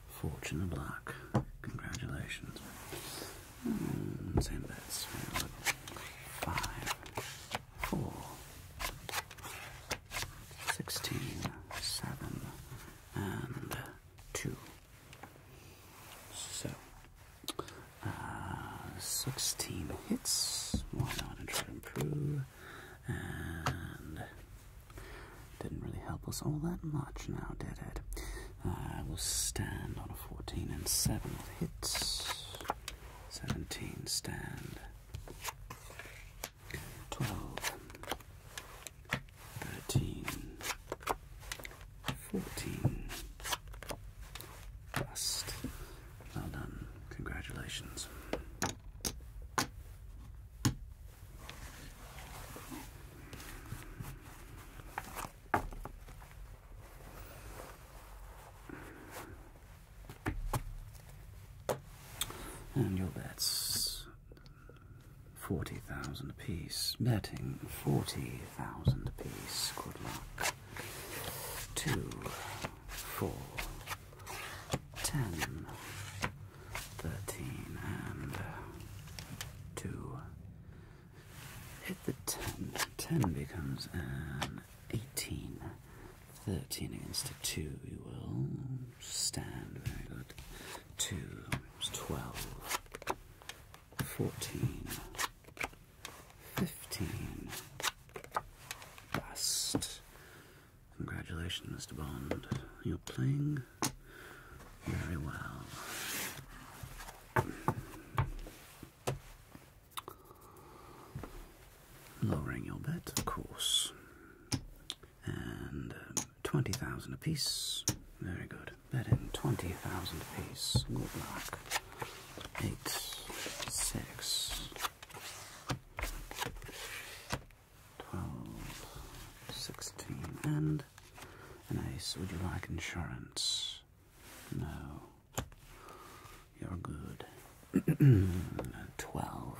fortune of luck. Congratulations. Mm, bets. Five, four, sixteen, seven, and two. So, uh, 16 hits. Why not try to improve? And didn't really help us all that much now, did it? I uh, will stand on a 14 and 7 hits. 17 stand. 12. 13, 14. Bust. Well done. Congratulations. And your bets. 40,000 apiece. Betting 40,000 apiece. Good luck. 2, 4, 10, 13, and uh, 2. Hit the 10. 10 becomes an 18. 13 against a 2, you will stand. Very good. 2 is 12. 14, 15. Bust. Congratulations, Mr. Bond. You're playing very well. Lowering your bet, of course. And um, 20,000 apiece. Very good card. Bet in 20,000 piece. Good luck. 8, 6, 16, and an ace. Would you like insurance? No. You're good. 12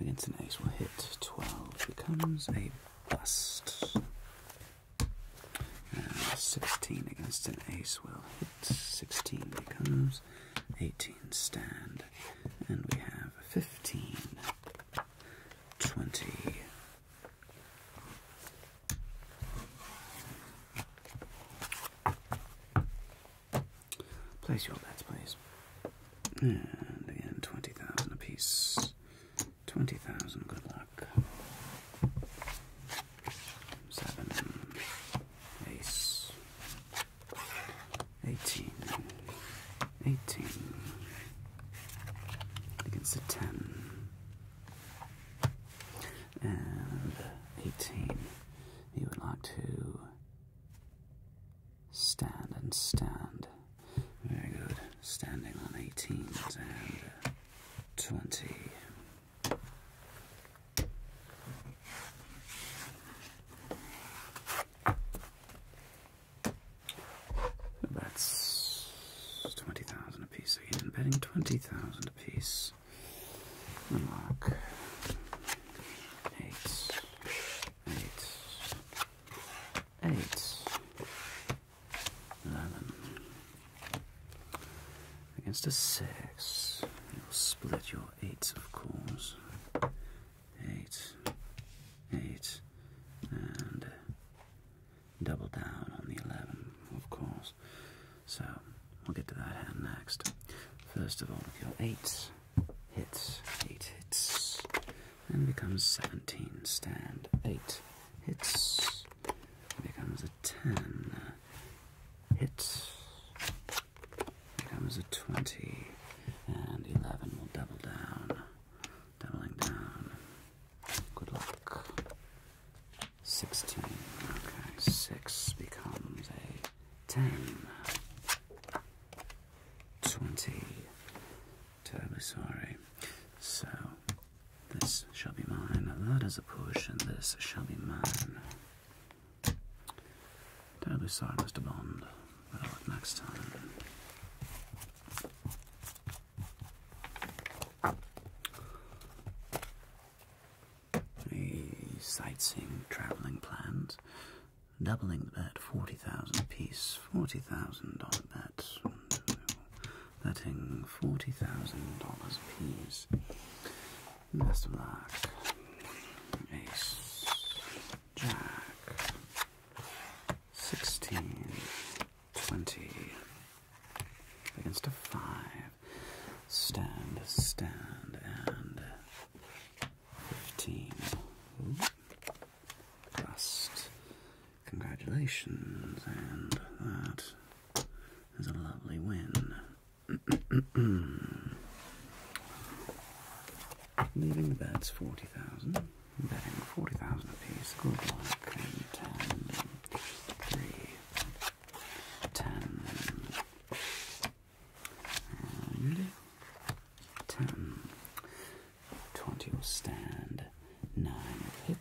against an ace will hit. 12 becomes a bust. Uh, 16 against an ace will hit. 16 becomes 18 stand. And we have 15, 20. Place your bets, please. And again, 20,000 apiece. 20,000, good luck. Seven, ace, 18, 18, against a 10, and 18. You would like to stand and stand. Very good. Standing on eighteen twenty. That's twenty thousand apiece again. I'm betting twenty thousand apiece. The mark eight, eight, eight, 11. Against a 6. You'll split your 8, of course. 8. 8. And uh, double down on the 11, of course. So, we'll get to that hand next. First of all, if your 8 hits, 8 hits, and becomes 17, stand 8 hits, becomes a 10. Hit becomes a 20. And 11 will double down. Doubling down. Good luck. 16. Okay, 6 becomes a 10. 20. Terribly sorry. So, this shall be mine. That is a push, and this shall be mine. Terribly sorry, Mr. Bond, next time. A sightseeing travelling plans. Doubling the bet, 40,000 piece, 40,000 dollar bet letting forty thousand dollars please. Best of luck. Ace, Jack, sixteen, twenty. Against a five. Stand, stand, and fifteen. Ooh. Congratulations, and that is a lovely win. Leaving the bets 40,000, betting 40,000 apiece. Good luck, and 10, and 10. 20 will stand, 9 will hit,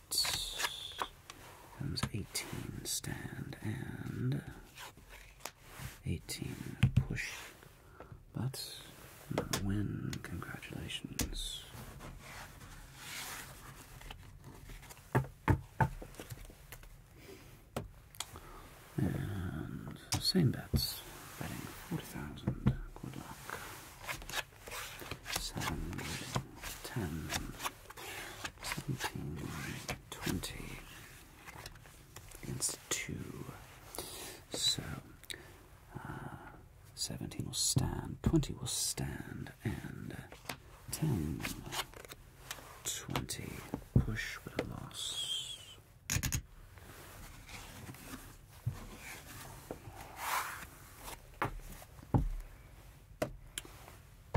comes 18 stand and 18 push, but win. Congratulations. And same bets, betting 40,000. Good luck seven, ten, seventeen, twenty. Against two. So uh, seventeen will stand, twenty will stand, and ten, twenty push with a loss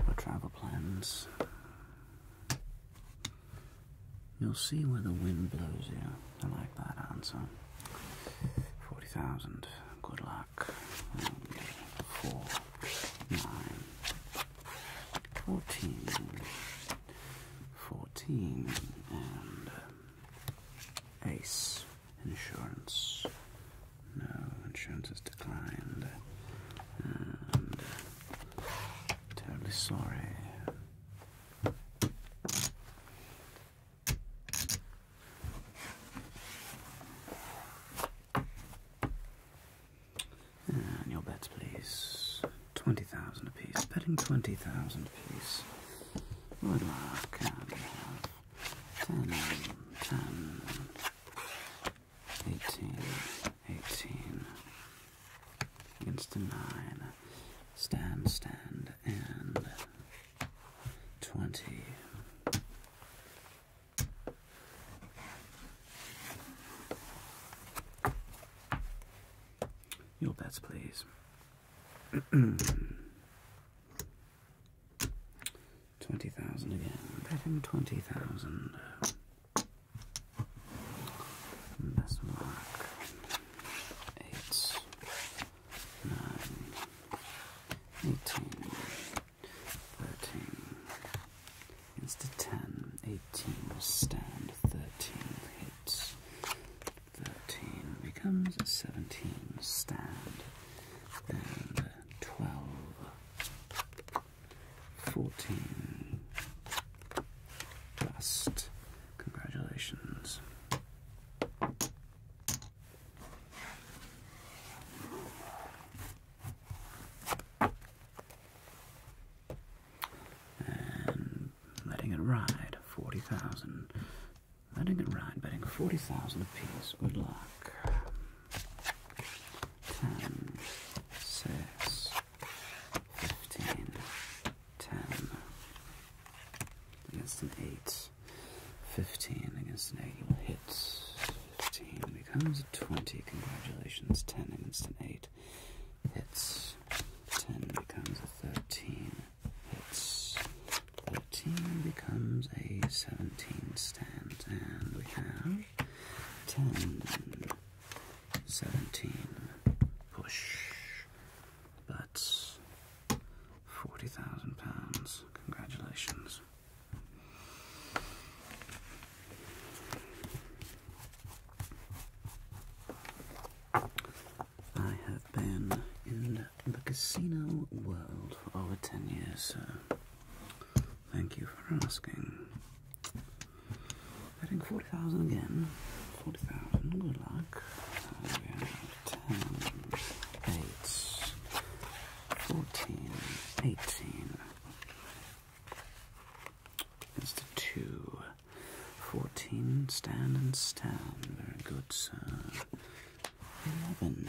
my travel plans, you'll see where the wind blows you. I like that answer. 40,000. Good luck. Four, nine, 14, 14, and ace. Insurance. No, insurance is declined. Uh, terribly sorry. And your bets, please. Twenty thousand apiece. Betting twenty thousand apiece. Good luck. And 18, 18, against a 9, stand, stand, and 20. Your bets, please. Twenty thousand again. Bet him twenty thousand. Best mark. Eight, nine, eighteen, thirteen. Instead ten, eighteen will stand. Thirteen hits. Thirteen becomes seventeen. Stand and twelve. 14 last. Congratulations. And letting it ride, 40,000. Letting it ride, betting 40,000 apiece. Good luck ten, six, fifteen, ten against an eight, fifteen against an eight, you will hit. Fifteen becomes a twenty. Congratulations. Ten against an eight hits. Ten becomes a thirteen hits. Thirteen becomes a seventeen and we have 10, 17, push, but £40,000. Congratulations. I have been in the casino world for over 10 years, sir. Thank you for asking. I think 40,000 again. 40,000, good luck. And uh, we have 18. 2. 14, stand and stand. Very good, sir. 11.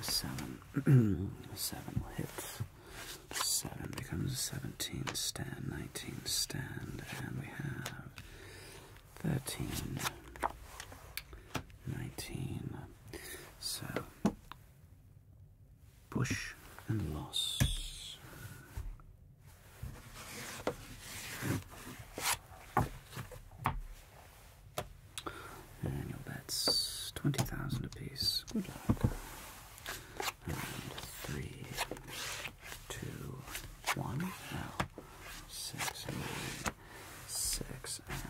Seven. seven hits. hit. Seven becomes a 17 stand, 19 stand, and we have 13, 19. So, push and loss. And bets 20,000 apiece. Good luck. three, two, one. Now, six, and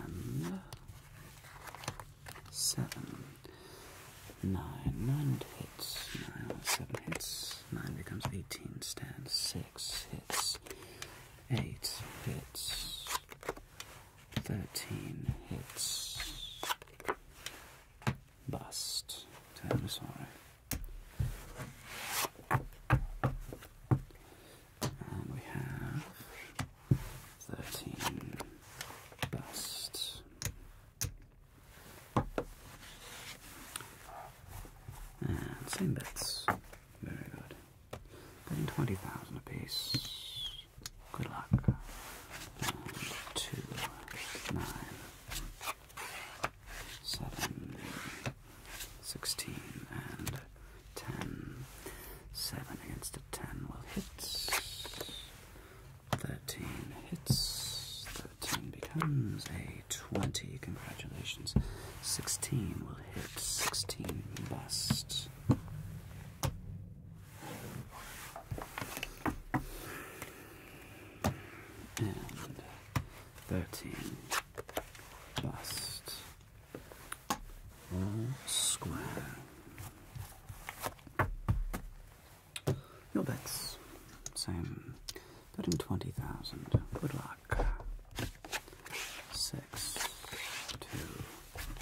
and seven. Nine, nine hits. Nine, seven hits. Nine becomes 18 stands. Six hits. Eight hits. 13 hits. Bust. Totosaurio. And we have 13 bust. And same bets. Very good. Putting 20,000 apiece. Good luck. Two, nine, seven, sixteen, and ten. Seven against a ten will hit. Thirteen hits. Thirteen becomes a twenty. Congratulations. Sixteen will hit. Sixteen best. 13 bust square your bets same betting 20,000 good luck 6 2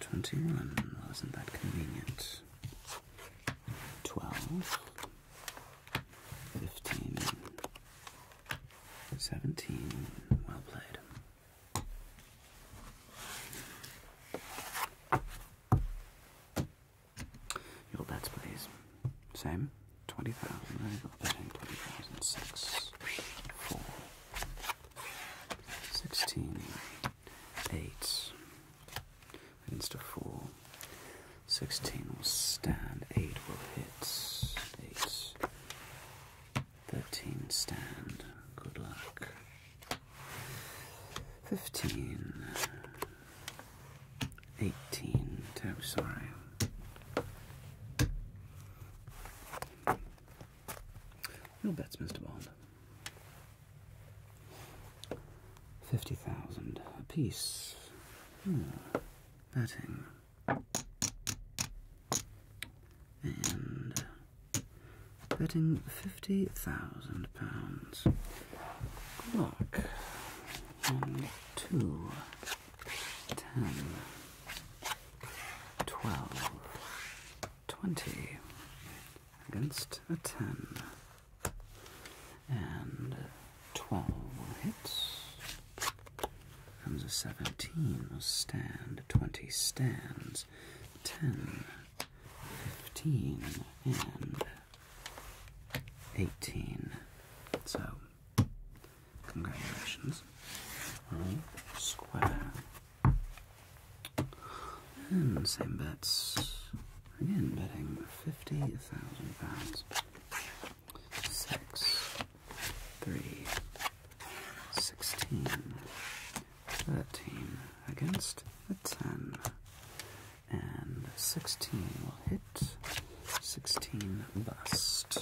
Twenty-one. Wasn't that convenient? Twelve. Fifteen. Seventeen. Well played. Your bets, please. Same. Twenty thousand. I've twenty thousand 16, 8 against a 4. 16 will stand, 8 will hit, 8. 13 stand, good luck. 15, 18, terribly sorry. No bets, Mr. Bond. Fifty thousand apiece. Hmm. Betting. And betting fifty thousand pounds. Good One, two, ten. 12, 20 against a 10, and 12 hits. Comes a 17, will stand, 20 stands, 10, 15, and 18. So, congratulations, square. And hmm, same bets. Again, betting fifty thousand pounds. Six, three, sixteen, thirteen against ten, and sixteen will hit. Sixteen bust.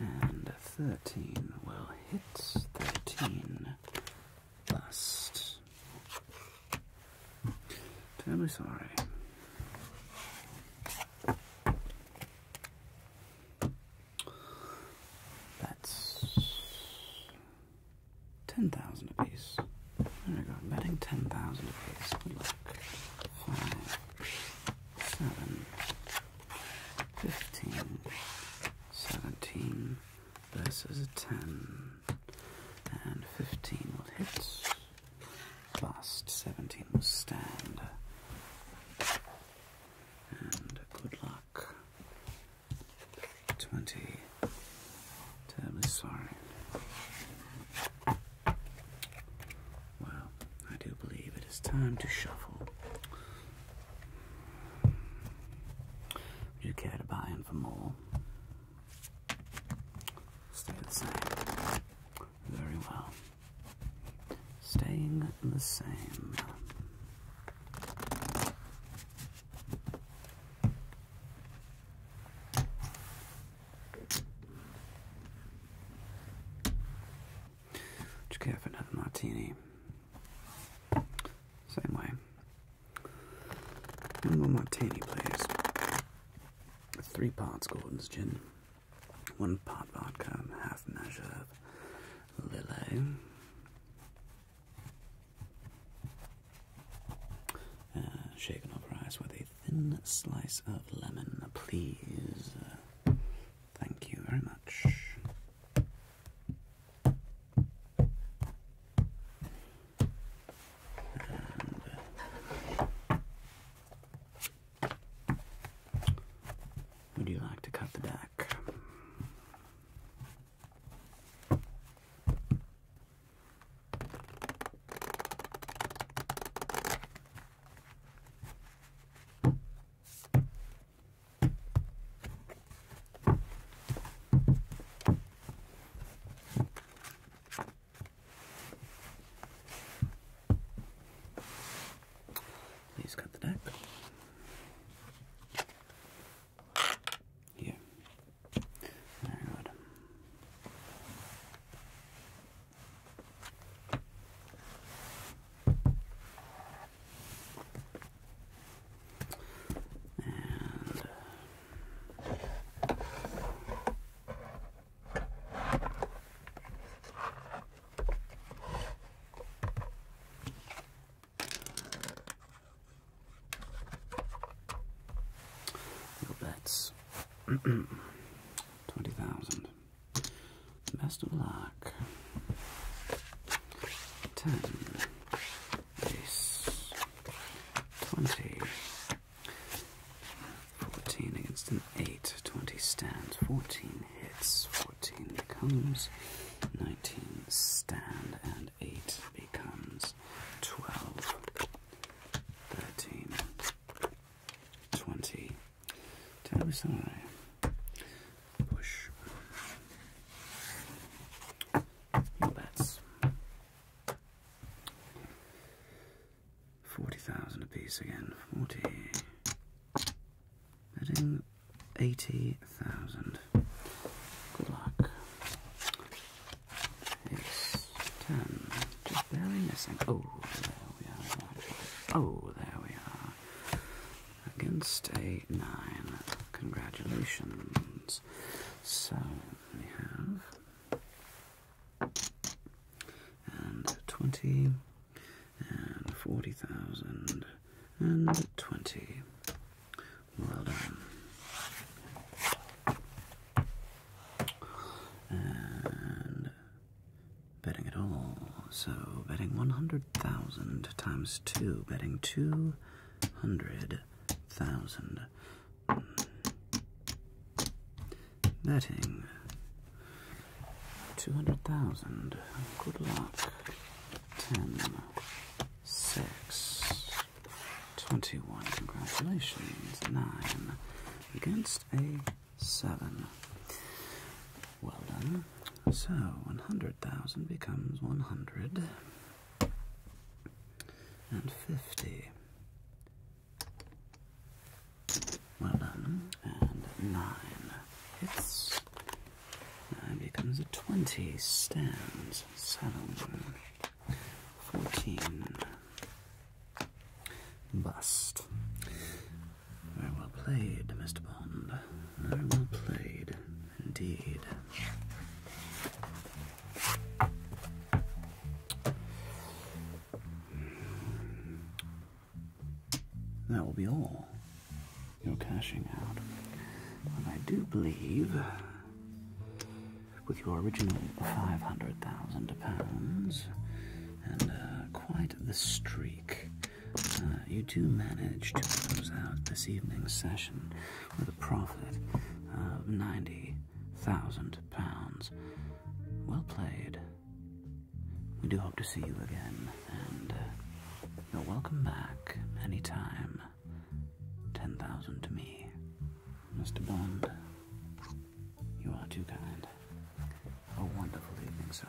And 13 will hit 13 last. Terribly sorry. That's 10,000 apiece. There we go, betting 10,000 apiece. Good luck. 7, 15, 17 versus a 10, and 15 will hit, last 17 will stand, and good luck, 20, terribly sorry. Well, I do believe it is time to shuffle. Would you care to buy him for more? Stay the same. Very well. Staying the same. Just care for another martini. Same way. One more martini, please. three parts Gordon's gin, one part vodka, half measure of Lillet. Uh, shaken over ice with a thin slice of lemon, please. Uh, Thank you very much. Uh, would you like to cut the back? Please cut the neck. Yeah. Very good. And uh, twenty thousand. Best of luck. Ten. Ace. Twenty. Fourteen against an eight. Twenty stands. Fourteen hits. Fourteen becomes. Nineteen stand and eight becomes. Twelve. Thirteen. Twenty. Ten aside. Push. Your 40,000 apiece again. 40. Betting 80,000. Good luck. It's 10 very missing. Oh, there we are. Oh, there we are. Against a nine. Congratulations. So we have and twenty and forty thousand and twenty. Well done. And Betting at all. So betting 100,000 times 2. Betting 200,000. Betting 200,000. Good luck. 10, 6, 21. Congratulations. 9. Against a seven. Well done. So, 100,000 becomes 100 and 50. Well done. And 9 hits. 9 becomes a 20. Stands. 7. 14. Bust. Very well played, Mr. Bond. Very well played, indeed. That will be all. You're cashing out. I do believe, with your original £500,000 and uh, quite the streak. Uh, you do manage to close out this evening's session with a profit of £90,000. Well played. We do hope to see you again, and uh, you're welcome back anytime. 10,000 to me. Mr. Bond, you are too kind a oh, wonderful evening, sir.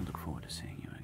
We look forward to seeing you again.